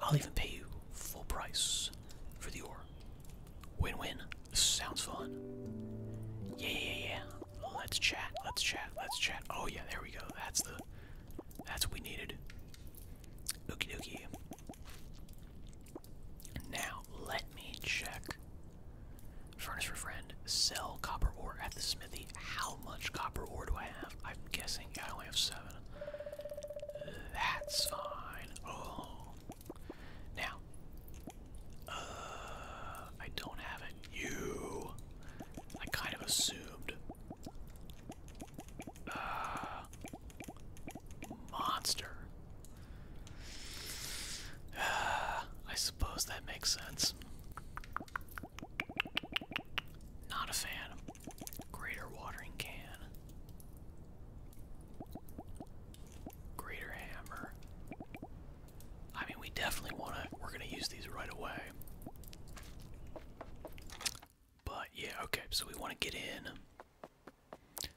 I'll even pay you full price for the ore. Win-win. Sounds fun. Yeah, yeah, yeah. Let's chat, let's chat, let's chat. Oh yeah, there we go. That's the, that's what we needed. Okey-dokey. Now, let me check. Furnace for friend. Sell copper ore at the smith. How much copper ore do I have? I'm guessing I only have seven. That's fine. Oh. Now. Uh, I don't have it. You. I kind of assumed. Uh, monster. [SIGHS] I suppose that makes sense. Not a fan. Greater watering can. Greater hammer. I mean, we definitely want to, we're going to use these right away. But yeah, okay, so we want to get in.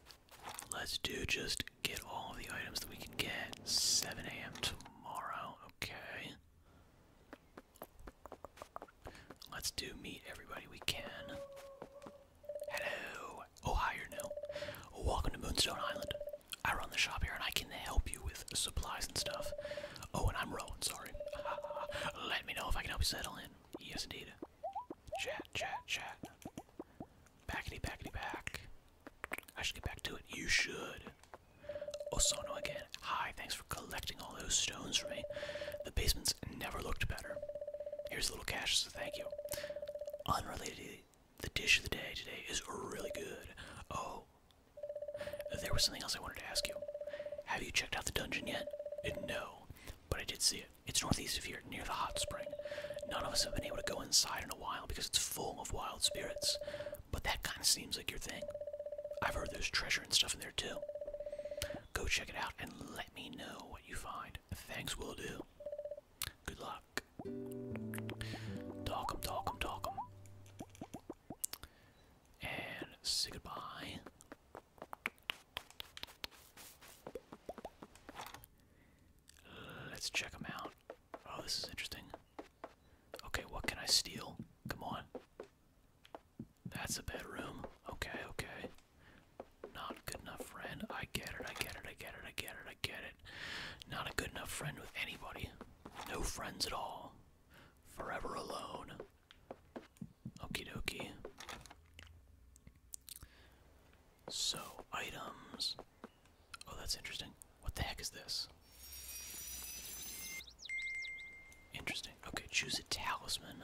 Let's do just get all the items that we can get. 7 a.m. tomorrow, okay. Let's do meet everybody we can. Hello. Oh, Welcome to Moonstone Island. I run the shop here and I can help you with supplies and stuff. Oh, and I'm Rowan, sorry. [LAUGHS] Let me know if I can help you settle in. Yes, indeed. Chat, chat, chat. Backity, backity, back. I should get back to it. You should. Osono again. Hi, thanks for collecting all those stones for me. The basements never looked better. Here's a little cash, so thank you. Unrelatedly, the dish of the day today is really good. Oh, there was something else I wanted to ask you. Have you checked out the dungeon yet? No, but I did see it. It's northeast of here, near the hot spring. None of us have been able to go inside in a while because it's full of wild spirits. But that kind of seems like your thing. I've heard there's treasure and stuff in there too. Go check it out and let me know what you find. Thanks, will do. Good luck. Talk 'em, talk 'em, talk 'em. And say goodbye. Let's check out. Oh, this is interesting. Okay, what can I steal? Come on. That's a bedroom. Okay, okay. Not good enough friend. I get it, I get it, I get it, I get it, I get it. Not a good enough friend with anybody. No friends at all. Forever alone. Okie dokie. So, items. Oh, that's interesting. What the heck is this? Interesting. Okay, choose a talisman.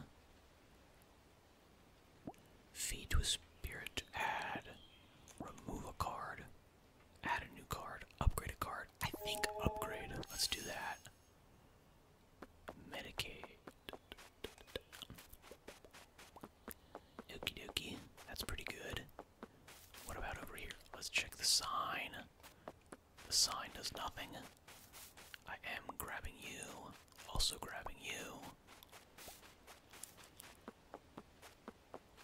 Feed to a spirit add. Remove a card. Add a new card. Upgrade a card. I think upgrade. Let's do that. Medicate. Okie dokie. That's pretty good. What about over here? Let's check the sign. The sign does nothing. I am grabbing you, also grabbing you.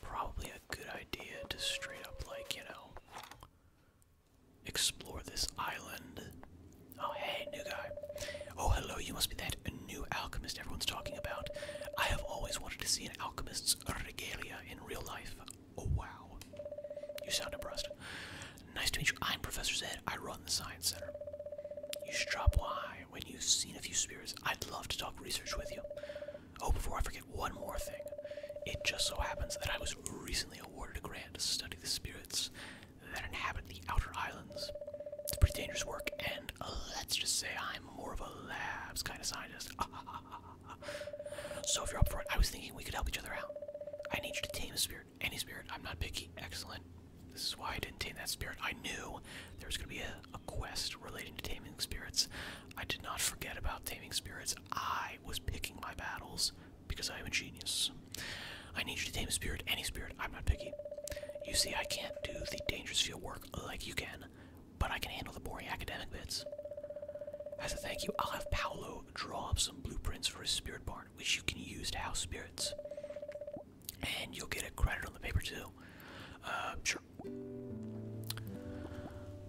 Probably a good idea to straight up, like, you know, explore this island. Oh, hey, new guy. Oh, hello, you must be that new alchemist everyone's talking about. I have always wanted to see an alchemist's regalia in real life. Oh, wow. You sound impressed. Nice to meet you. I'm Professor Zed. I run the Science Center. You should drop by when you've seen a few spirits. I'd love to talk research with you. Oh, before I forget one more thing. It just so happens that I was recently awarded a grant to study the spirits that inhabit the outer islands. It's pretty dangerous work, and let's just say I'm more of a labs kind of scientist. [LAUGHS] So if you're up for it, I was thinking we could help each other out. I need you to tame a spirit, any spirit. I'm not picky. Excellent. This is why I didn't tame that spirit. I knew there was going to be a, quest relating to taming spirits. I did not forget about taming spirits. I was picking my battles because I am a genius. I need you to tame a spirit, any spirit. I'm not picky. You see, I can't do the dangerous field work like you can, but I can handle the boring academic bits. As a thank you, I'll have Paolo draw up some blueprints for a spirit barn, which you can use to house spirits. And you'll get a credit on the paper too. Uh, sure.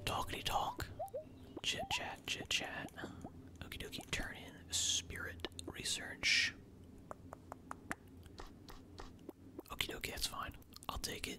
Talkity talk. Chit chat, chit chat. Okie dokie, turn in spirit research. Okie dokie, that's fine. I'll take it.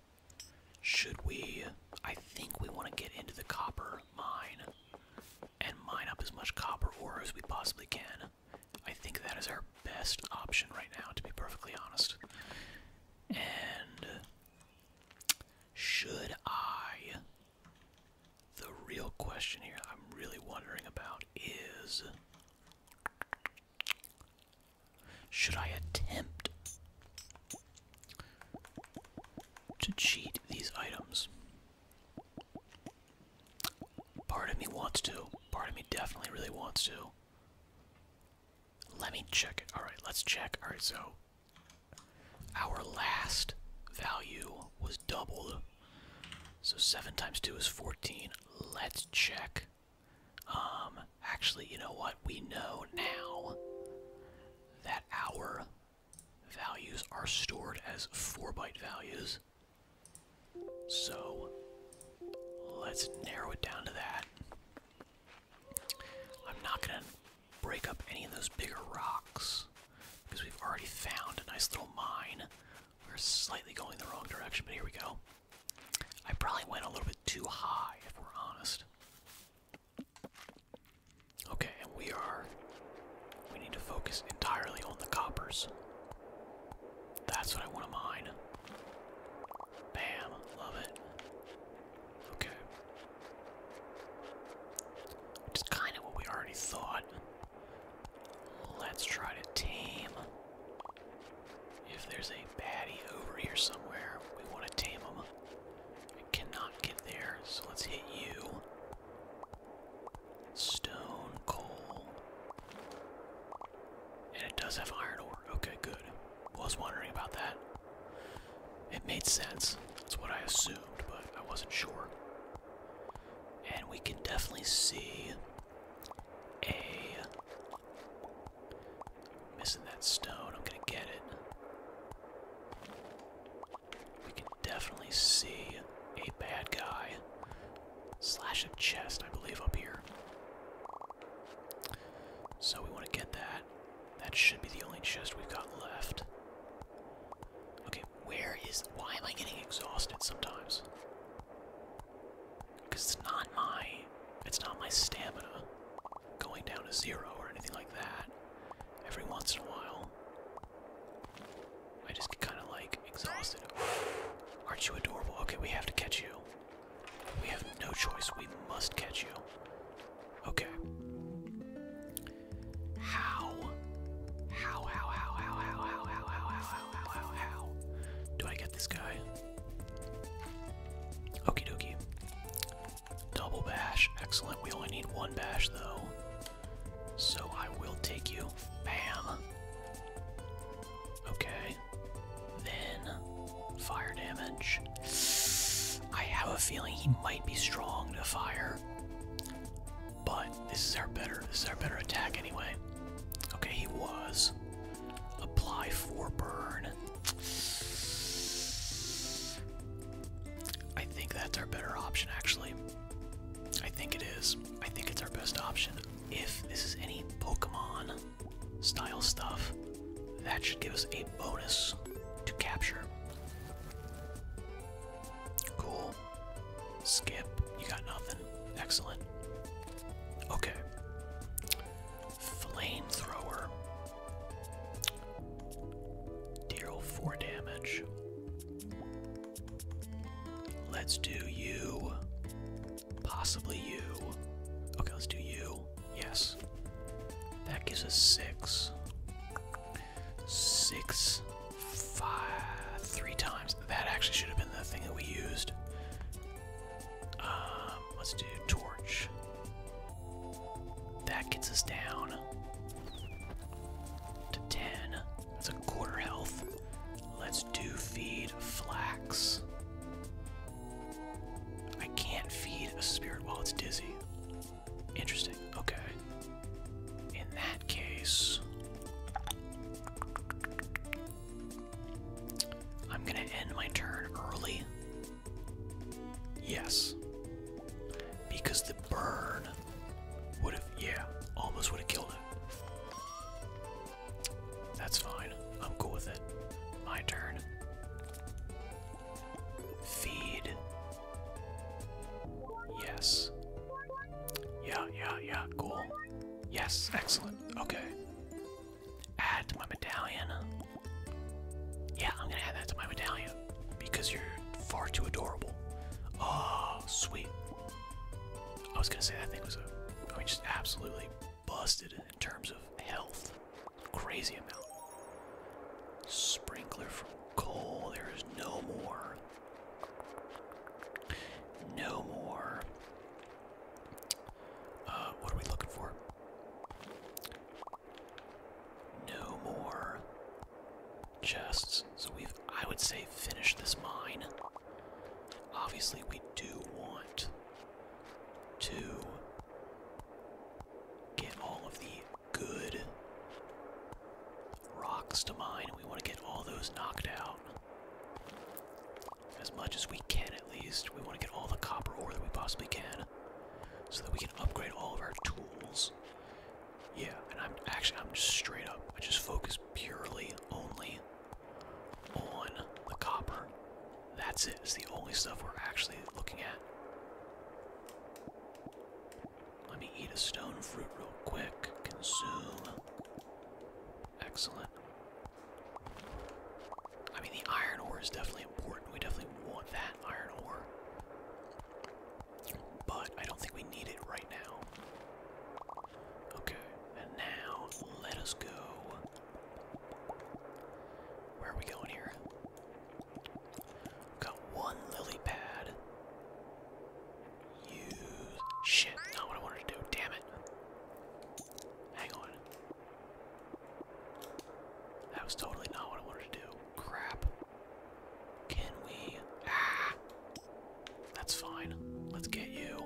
should we? I think we want to get into the copper mine and mine up as much copper ore as we possibly can. I think that is our best option right now, to be perfectly honest. And should I? The real question here I'm really wondering about is should I attempt to cheat these items? Part of me wants to. Part of me definitely really wants to. Let me check it. Alright, let's check. Alright, so our last value was doubled. So 7 times 2 is 14. Let's check. Um, Actually, you know what? We know now that our values are stored as 4 byte values. So let's narrow it down to that. I'm not going to break up any of those bigger rocks because we've already found a nice little mine. We're slightly going the wrong direction, but here we go. I probably went a little bit too high, if we're honest. Okay, we are. We need to focus entirely on the coppers. That's what I want to mine. Bam, love it. Okay. Which kind of what we already thought. Let's try to tame. If there's a baddie over here somewhere, we want to tame him. I cannot get there, so let's hit you. Stone, coal. And it does have iron ore. Okay, good. Was wondering about that. It made sense. That's what I assumed, but I wasn't sure. And we can definitely see a Missing that stone. I'm gonna get it. We can definitely see a bad guy. Slash a chest, I believe, up here. So we want to get that. That should be the only chest we've got left. Okay, where is. Why am I getting exhausted sometimes? Because it's not my. It's not my stamina going down to zero or anything like that every once in a while. I just get kind of like exhausted. Aren't you adorable? Okay, we have to catch you. We have no choice. We must catch you. Okay. How? How, how, how, how, how, how, how, how, how, how, how, how? Do I get this guy? Okie dokie. Double bash. Excellent. We only need one bash though. So I will take you. Bam. Okay. Then fire damage. I have a feeling he might be strong to fire. But this is our better this is our better attack anyway. Okay, he was. Apply for burn. I think that's our better option, actually. I think it is. I think it's our best option. If this is any Pokemon style stuff, that should give us a bonus to capture. Cool. Skip. You got nothing. Excellent. Okay. Flamethrower. Deal damage. Let's do you. Possibly you. Okay, let's do you. Yes. That gives us six, six, five, three times. That actually should have been the thing that we used. Um, um, let's do torch. That gets us down to 10. That's a quarter health. Let's do feed flax. I can't feed a spirit while it's dizzy. Interesting. Okay. In that case, I'm going to end my turn early Yes. Because the burn would have, yeah, almost would have killed it. That's fine. I'm cool with it. My turn. Feed. Yes. Yeah, yeah, yeah, cool. Yes, excellent. Okay. Add to my medallion. Yeah, I'm gonna add that to my medallion because you're far too adorable. Oh, sweet. I was gonna say that thing was a, I mean, just absolutely busted in terms of health. Crazy amount. Sprinkler from coal. There is no more. No more. Uh, what are we looking for? No more chests. So we've, I would say, finished this mine. Obviously, we do want to get all of the good rocks to mine. We want to get all those knocked out. As much as we can, at least. We want to get all the copper ore that we possibly can so that we can upgrade all of our tools. Yeah, and I'm actually I'm just straight up. I just focus purely only on the copper. That's it. It's the only stuff we're actually looking at. Let me eat a stone fruit real quick. Consume. Excellent. I mean, the iron ore is definitely important. We definitely want that iron ore. But I don't think we need it right now. Okay, and now let us go. Where are we going here? we one lily pad. Use. Shit, not what I wanted to do. Damn it. Hang on. That was totally not what I wanted to do. Crap. Can we? Ah! That's fine. Let's get you.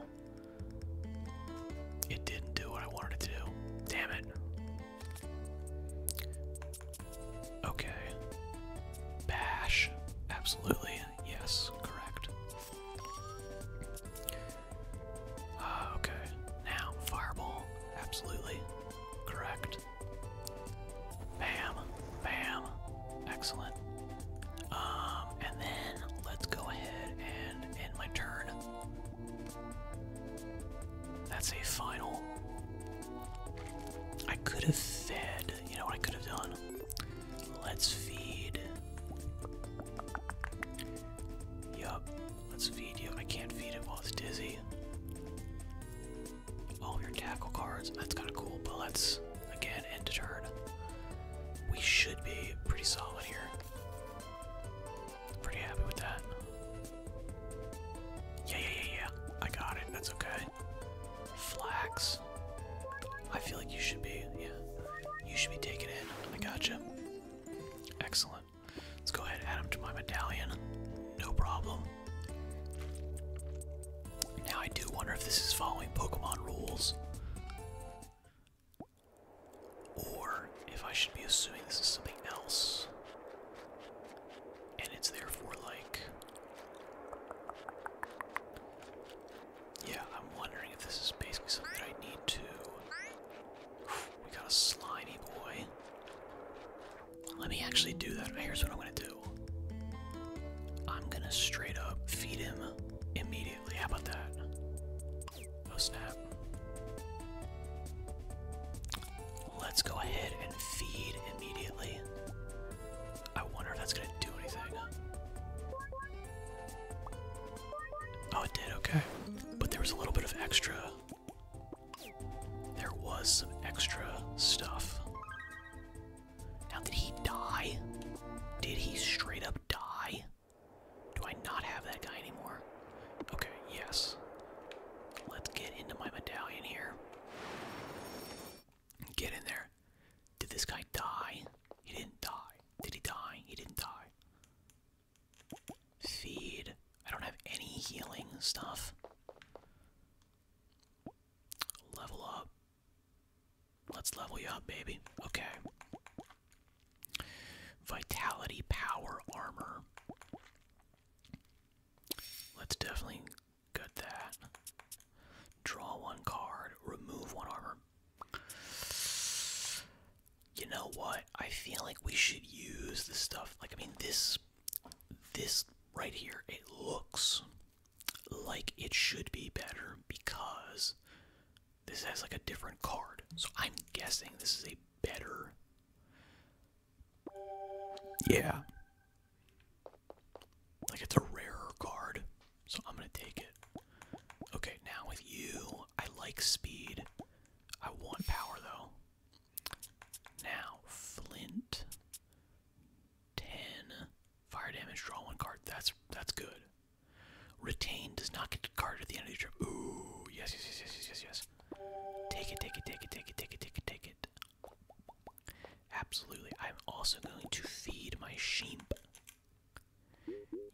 It didn't do what I wanted to do. Damn it. Okay. Bash. Absolutely. Yes, correct. Uh, okay. Now, fireball. Absolutely. Correct. Bam, bam, excellent. Um, and then let's go ahead and end my turn. That's a final. I could have fed, you know I could have done? Let's feed. Yup, let's feed you. I can't feed it while it's dizzy all oh, your tackle cards. That's kind of cool, but let's, again, end the turn. We should be pretty solid here. Pretty happy with that. Yeah, yeah, yeah, yeah. I got it. That's okay. Flax. I feel like you should be, yeah. You should be taking it. I got you. Excellent. Let's go ahead and add him to my medallion. No problem. Now I do wonder if this is following Pokemon rules. Or if I should be assuming this is something else. And it's therefore like. Yeah, I'm wondering if this is basically something I need to. We got a slimy boy. Let me actually do that. Here's what I'm gonna do. I'm gonna straight up feed him immediately. How about that? Oh snap. Let's go ahead and feed immediately. I wonder if that's gonna do anything. Oh, it did, okay. But there was a little bit of extra there was some extra stuff. Now, did he die? Did he straight up die? Do I not have that guy anymore? Okay, yes. Let's get into my medallion here. Get in there. Did this guy die? He didn't die. Did he die? He didn't die. Feed. I don't have any healing stuff. Level up. Let's level you up, baby. Okay. Vitality, power, armor. Let's definitely gut that. Draw one card, remove one armor. You know what? I feel like we should use the stuff. Like, I mean, this this right here, it looks like it should be better because this has like a different card. So I'm guessing this is a better. Yeah. Like it's a rarer card. So I'm going to take it. Okay, now with you, I like speed. I want power though. Now, Flint. 10 fire damage, draw one card. That's that's good. Retain does not get a card at the end of your trip. Ooh, yes, yes, yes, yes, yes, yes, yes. Take it, take it, take it, take it, take it, take it, take it. Absolutely. I'm also going to feed my sheep.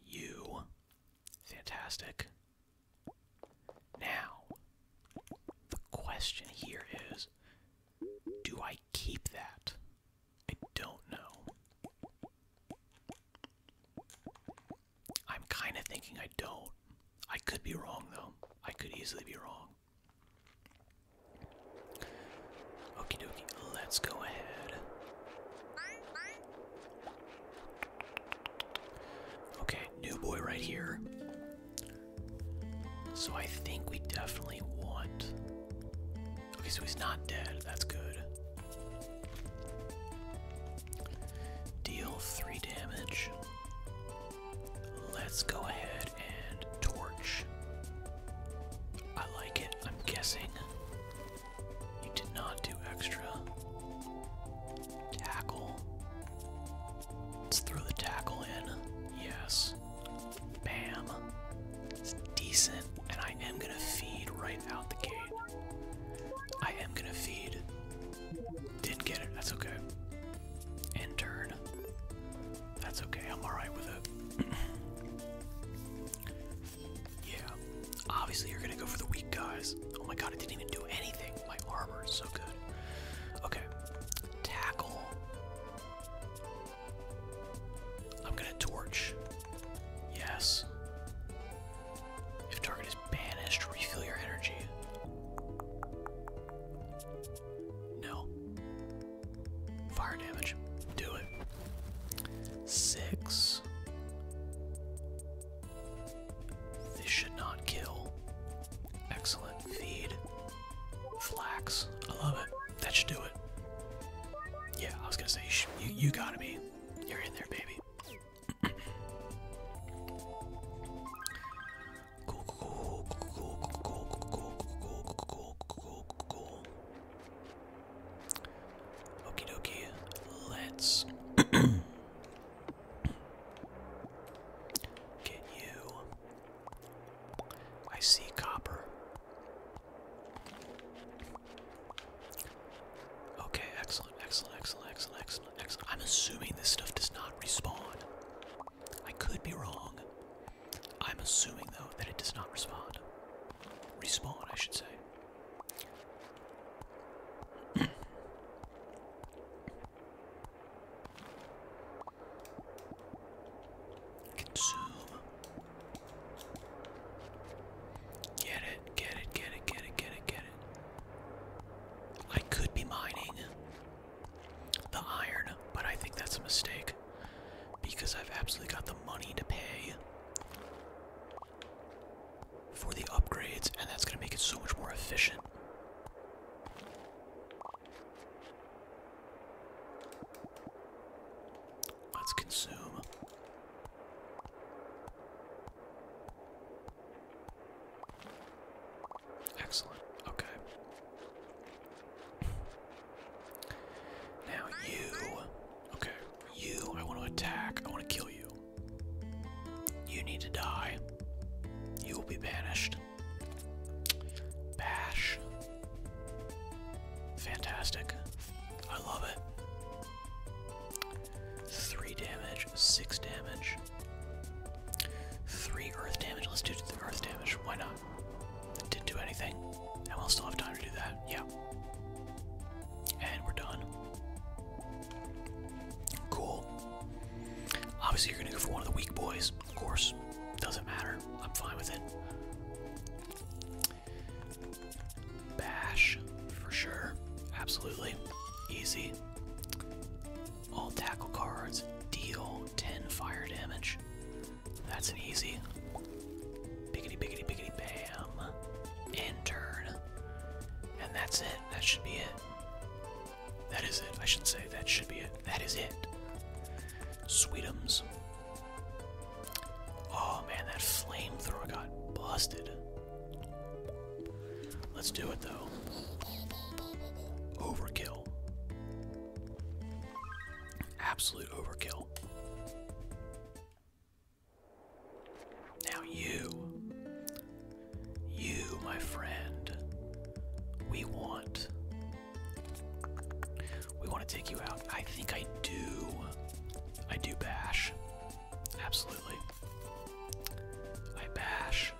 You. Fantastic. Now, the question here is do I keep that? I don't know. I'm kind of thinking I don't. I could be wrong, though. I could easily be wrong. Okie dokie, let's go ahead. Okay, new boy right here. So I think we definitely want. Okay, so he's not dead. That's good. Deal three damage. Let's go ahead and torch. I like it, I'm guessing. You did not do extra. Tackle. Let's throw the tackle in. Yes. Bam. decent. And I am going to feed right out the gate. I am going to feed. Didn't get it. That's okay. End turn. That's okay. I'm alright with it. [CLEARS THROAT] yeah. Obviously, you're going to go for the weak guys. Oh my god, I didn't even do anything. My armor is so good. Okay. Tackle. I'm gonna torch. Yes. If target is banished, refill your energy. No. Fire damage. Do it. Six. This should not kill. Excellent feed, flax. I love it. That should do it. Yeah, I was gonna say you, you, gotta be. You're in there, baby. cool, cool, cool, cool, cool, cool, cool, cool, cool, cool. Okie dokie. Let's. Can you? I see copper. Okay, excellent, excellent, excellent, excellent, excellent, I'm assuming this stuff does not respawn. I could be wrong. I'm assuming, though, that it does not respond. Respond, I should say. [CLEARS THROAT] Consume. Get it, get it, get it, get it, get it, get it. I could be mining the iron, but I think that's a mistake because I've absolutely got the money to pay for the upgrades, and that's going to make it so much more efficient. Let's consume. Excellent. Okay. Now you. Okay. You, I want to attack. I want to kill you. You need to die. You will be banished. Bash. Fantastic. I love it. Three damage, six damage. Three earth damage. Let's do the earth damage. Why not? Didn't do anything. And we'll still have time to do that. Yeah. And we're done. Cool. Obviously, you're going to go for one of the weak boys. Of course, doesn't matter. I'm fine with it. Bash, for sure. Absolutely. Easy. All tackle cards deal 10 fire damage. That's an easy. Biggity, biggity, biggity, bam. End turn. And that's it. That should be it. That is it. I should say that should be it. That is it. Sweetums. Oh man, that flamethrower got busted. Let's do it though. Overkill. Absolute overkill. Now you. You, my friend, we want. We want to take you out. I think I do. I do bash. Absolutely. I bash.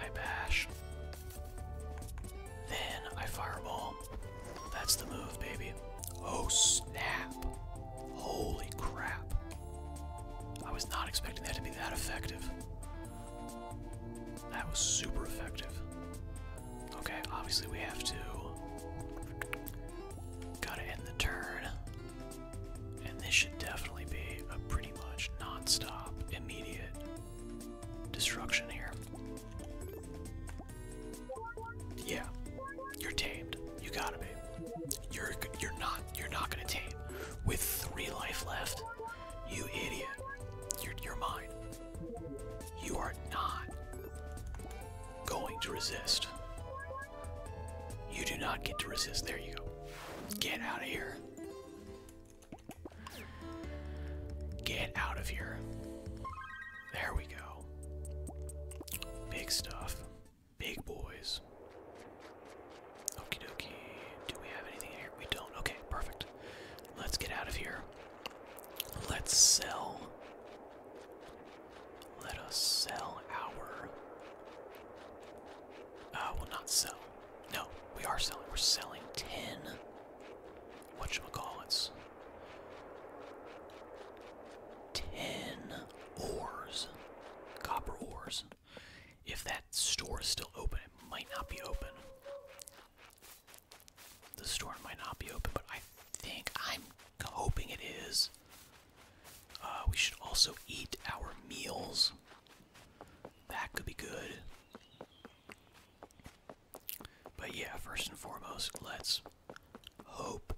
I bash. Then I fireball. That's the move, baby. Oh, snap. Holy crap. I was not expecting that to be that effective. That was super effective. Okay, obviously we have to. Gotta end the turn. And this should definitely be a pretty much non stop, immediate destruction here. Yeah, you're tamed. You gotta be. You're you're not you're not gonna tame with three life left. You idiot. You're, you're mine. You are not going to resist. You do not get to resist. There you go. Get out of here. Get out of here. There we go. Big stuff. Big boys. Okie dokie. Do we have anything here? We don't. Okay, perfect. Let's get out of here. Let's sell. Let us sell our. Uh, we'll not sell. No, we are selling. We're selling 10. What we call Whatchamacallits. 10 ores. Copper ores. If that store is still open, it might not be open. The store might not be open, but I think I'm hoping it is. Uh, we should also eat our meals. That could be good. But yeah, first and foremost, let's hope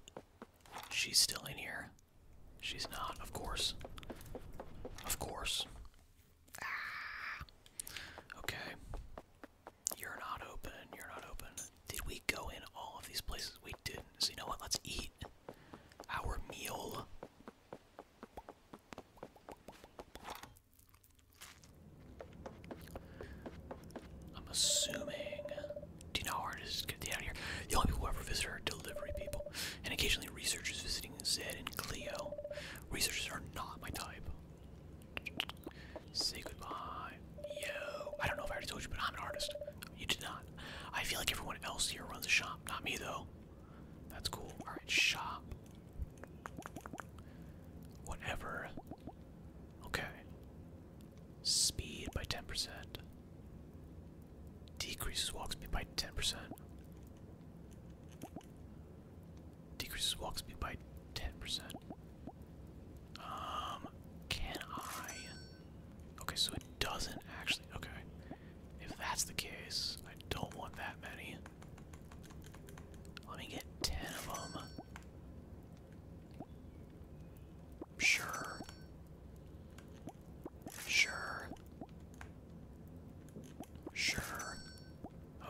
she's still in here. She's not, of course. Of course. Ah. Okay. You're not open. You're not open. Did we go in all of these places? We didn't. So you know what? Let's eat our meal. I'm assuming. Do you know how hard to get out of here? The only people who ever visit are delivery people, and occasionally researchers visiting Zed and Cleo. Researchers are not my type. Say goodbye. Yo. I don't know if I already told you, but I'm an artist. You did not. I feel like everyone else here runs a shop. Not me, though. That's cool. Alright, shop. Whatever. Okay. Speed by 10%. Decreases walk speed by 10%. Decreases walk speed by 10%. Um, can I? Okay, so it doesn't actually. Okay. If that's the case, I don't want that many. Let me get 10 of them. Sure. Sure. Sure.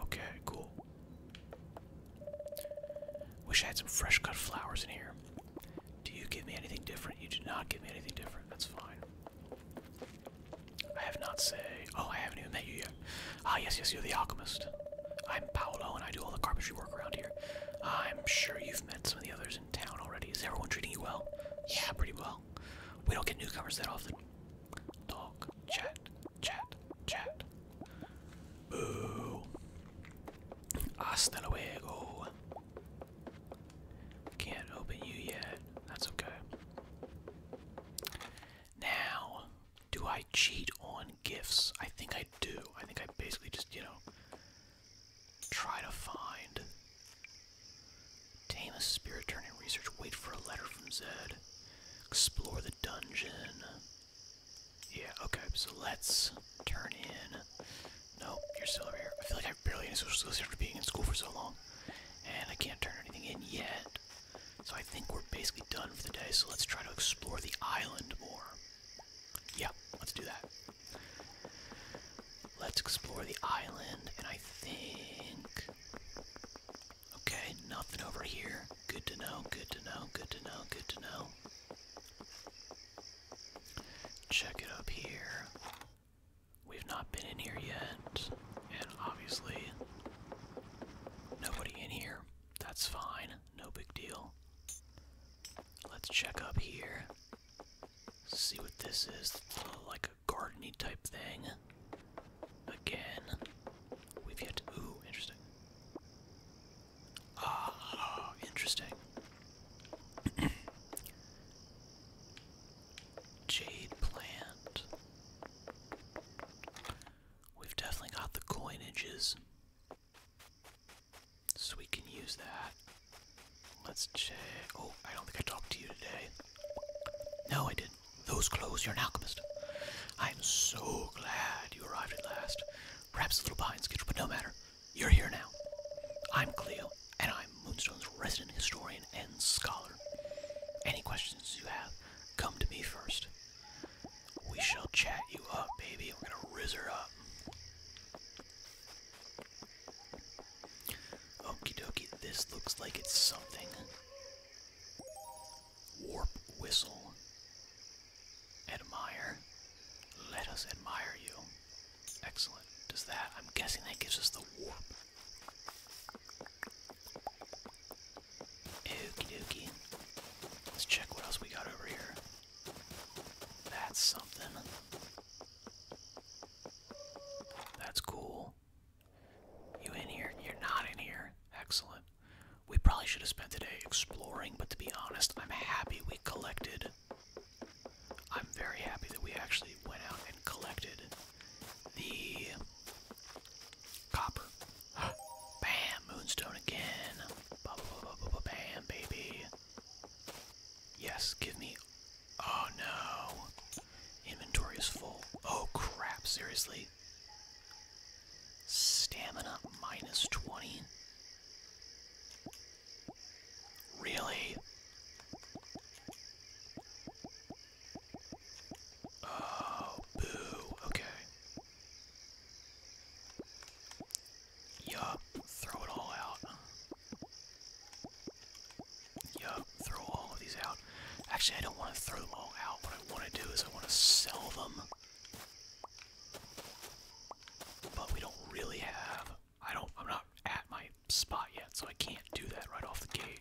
Okay, cool. Wish I had some fresh cut flowers in here. Do you give me anything different? You do not give me anything different. That's fine. I have not say. Oh, I haven't even met you yet. Ah, yes, yes, you're the alchemist. I'm Paolo, and I do all the carpentry work around here. I'm sure you've met some of the others in town already. Is everyone treating you well? Yeah, pretty well. We don't get newcomers that often. Knock, chat, chat, chat. Boo. Hasta luego. Can't open you yet. That's okay. Now, do I cheat on gifts? I think I do. I think I basically just, you know, try to find. Tame a spirit, turn and research. Wait for a letter from Zed. Explore the dungeon. Yeah, okay, so let's turn in. Nope. you're still over here. I feel like I barely any social skills after being in school for so long. And I can't turn anything in yet. So I think we're basically done for the day, so let's try to explore the island more. Yeah, let's do that. Let's explore the island, and I think... Okay, nothing over here. Good to know, good to know, good to know, good to know. Check it up here. We've not been in here yet, and obviously nobody in here. That's fine, no big deal. Let's check up here. See what this is, like a gardening type thing. Again, we've yet to. interesting. Ah, interesting. [COUGHS] Jade plant. We've definitely got the coinages. So we can use that. Let's check. Oh, I don't think I talked to you today. No, I didn't those clothes, you're an alchemist. I am so glad you arrived at last. Perhaps a little behind schedule, but no matter. You're here now. I'm Cleo, and I'm Moonstone's resident historian and scholar. Any questions you have, come to me first. We shall chat you up, baby. We're gonna rizz her up. Okie dokie, this looks like it's something warp whistle. Admire. Let us admire you. Excellent. Does that, I'm guessing that gives us the warp. Okie dokie. Let's check what else we got over here. That's something. That's cool. You in here? You're not in here. Excellent. We probably should have spent today exploring, but to be honest, I'm happy we collected. I'm very happy that we actually went out and collected the copper. [GASPS] Bam! Moonstone again. Bam, baby. Yes, give me. Oh no. Inventory is full. Oh crap, seriously? Stamina minus 20? Really? Oh, boo. Okay. Yup, throw it all out. Yup, throw all of these out. Actually, I don't want to throw them all out. What I want to do is I want to sell them. But we don't really have... I don't... I'm not at my spot yet, so I can't do that right off the gate.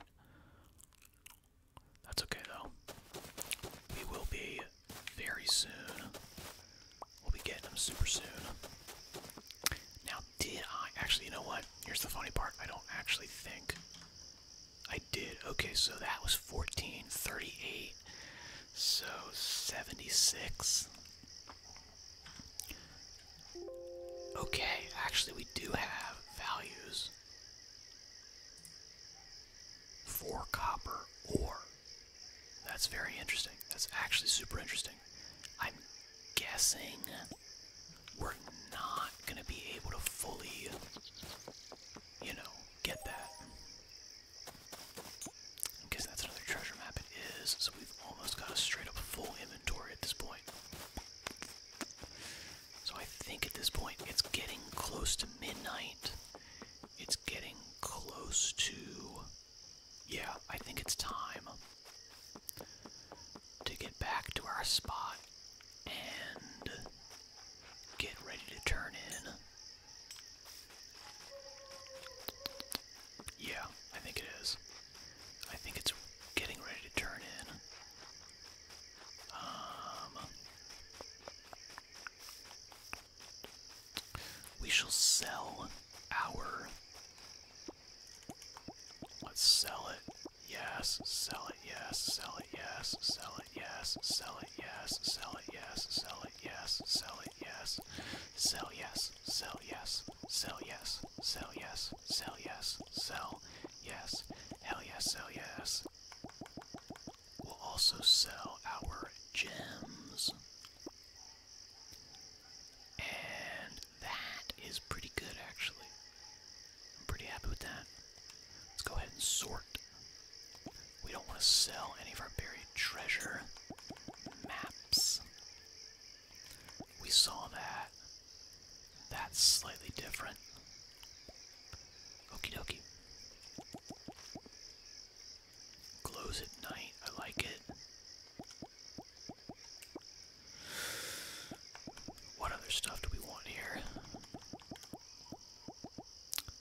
That's okay, though. We will be very soon. We'll be getting them super soon. Now, did I... Actually, you know what? Here's the funny part. I don't actually think I did. Okay, so that was 1438. So 76. Okay, actually we do have values for copper ore. That's very interesting. That's actually super interesting. I'm guessing we're not going to be able to fully you know, get that. Because that's another treasure map it is, so we've almost got a straight up full inventory at this point. So I think at this point it's getting close to midnight. It's getting close to. Yeah, I think it's time to get back to our spot and Get ready to turn in. Yeah, I think it is. I think it's getting ready to turn in. Um, we shall sell our. Let's sell it. Yes, sell it. Yes, sell it. Yes, sell it, yes, sell it, yes, sell it, yes, sell it, yes, sell it, yes, sell yes, sell yes, sell yes, sell yes, sell yes, sell yes, hell yes, sell yes. We'll also sell our gems. And that is pretty good actually. I'm pretty happy with that. Let's go ahead and sort. We don't want to sell any of our buried treasure. Maps. We saw that. That's slightly different. Okey dokey. Glows at night. I like it. What other stuff do we want here?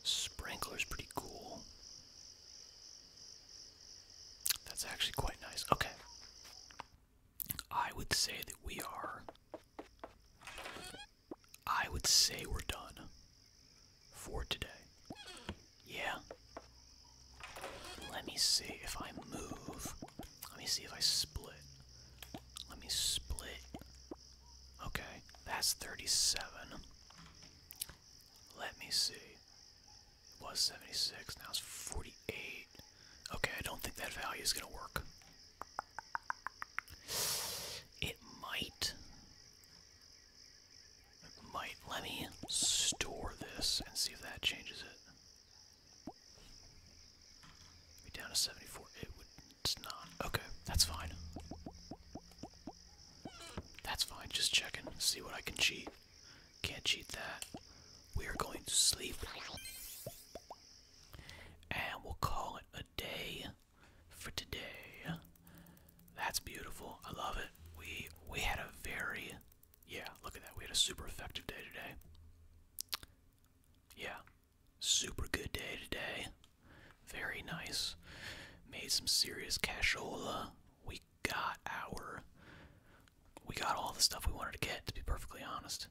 Sprinkler's pretty cool. That's actually quite nice. Okay. I would say that we are. I would say we're done for today. Yeah. Let me see if I move. Let me see if I split. Let me split. Okay, that's 37. Let me see. It was 76, now it's 48. Okay, I don't think that value is going to work. It might. It might. Let me store this and see if that changes it. Be down to 74. It would it's not. Okay, that's fine. That's fine, just checking. See what I can cheat. Can't cheat that. We are going to sleep. And we'll call it a day for today. That's beautiful. I love it. We we had a very yeah, look at that. We had a super effective day today. Yeah. Super good day today. Very nice. Made some serious cashola. We got our. We got all the stuff we wanted to get, to be perfectly honest.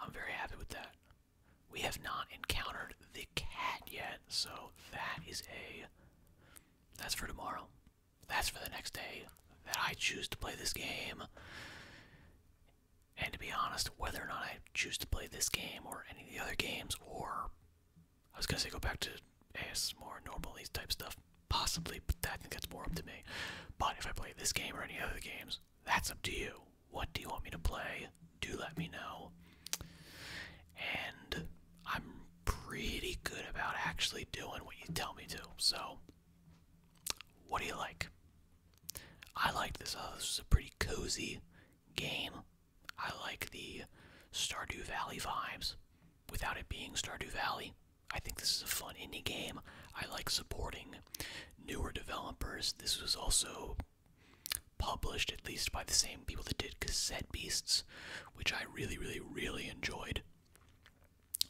I'm very happy with that. We have not encountered the cat yet, so that is a. That's for tomorrow. That's for the next day that I choose to play this game. And to be honest, whether or not I choose to play this game or any of the other games, or I was gonna say go back to AS more normal these type of stuff, possibly, but I think that's more up to me. But if I play this game or any other games, that's up to you. What do you want me to play? Do let me know. And I'm pretty good about actually doing what you tell me to. So, what do you like? I like this. Oh, this is a pretty cozy game. I like the Stardew Valley vibes without it being Stardew Valley. I think this is a fun indie game. I like supporting newer developers. This was also published, at least by the same people that did Cassette Beasts, which I really, really, really enjoyed.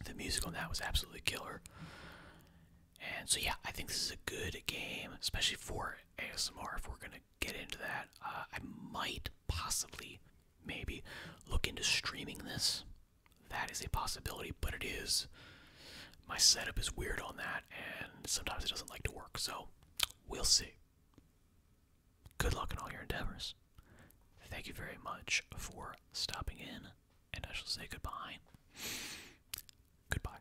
The music on that was absolutely killer. And so, yeah, I think this is a good game, especially for ASMR if we're gonna get into that. Uh, I might possibly, maybe, look into streaming this. That is a possibility, but it is. My setup is weird on that, and sometimes it doesn't like to work, so we'll see. Good luck in all your endeavors. Thank you very much for stopping in, and I shall say goodbye. Goodbye.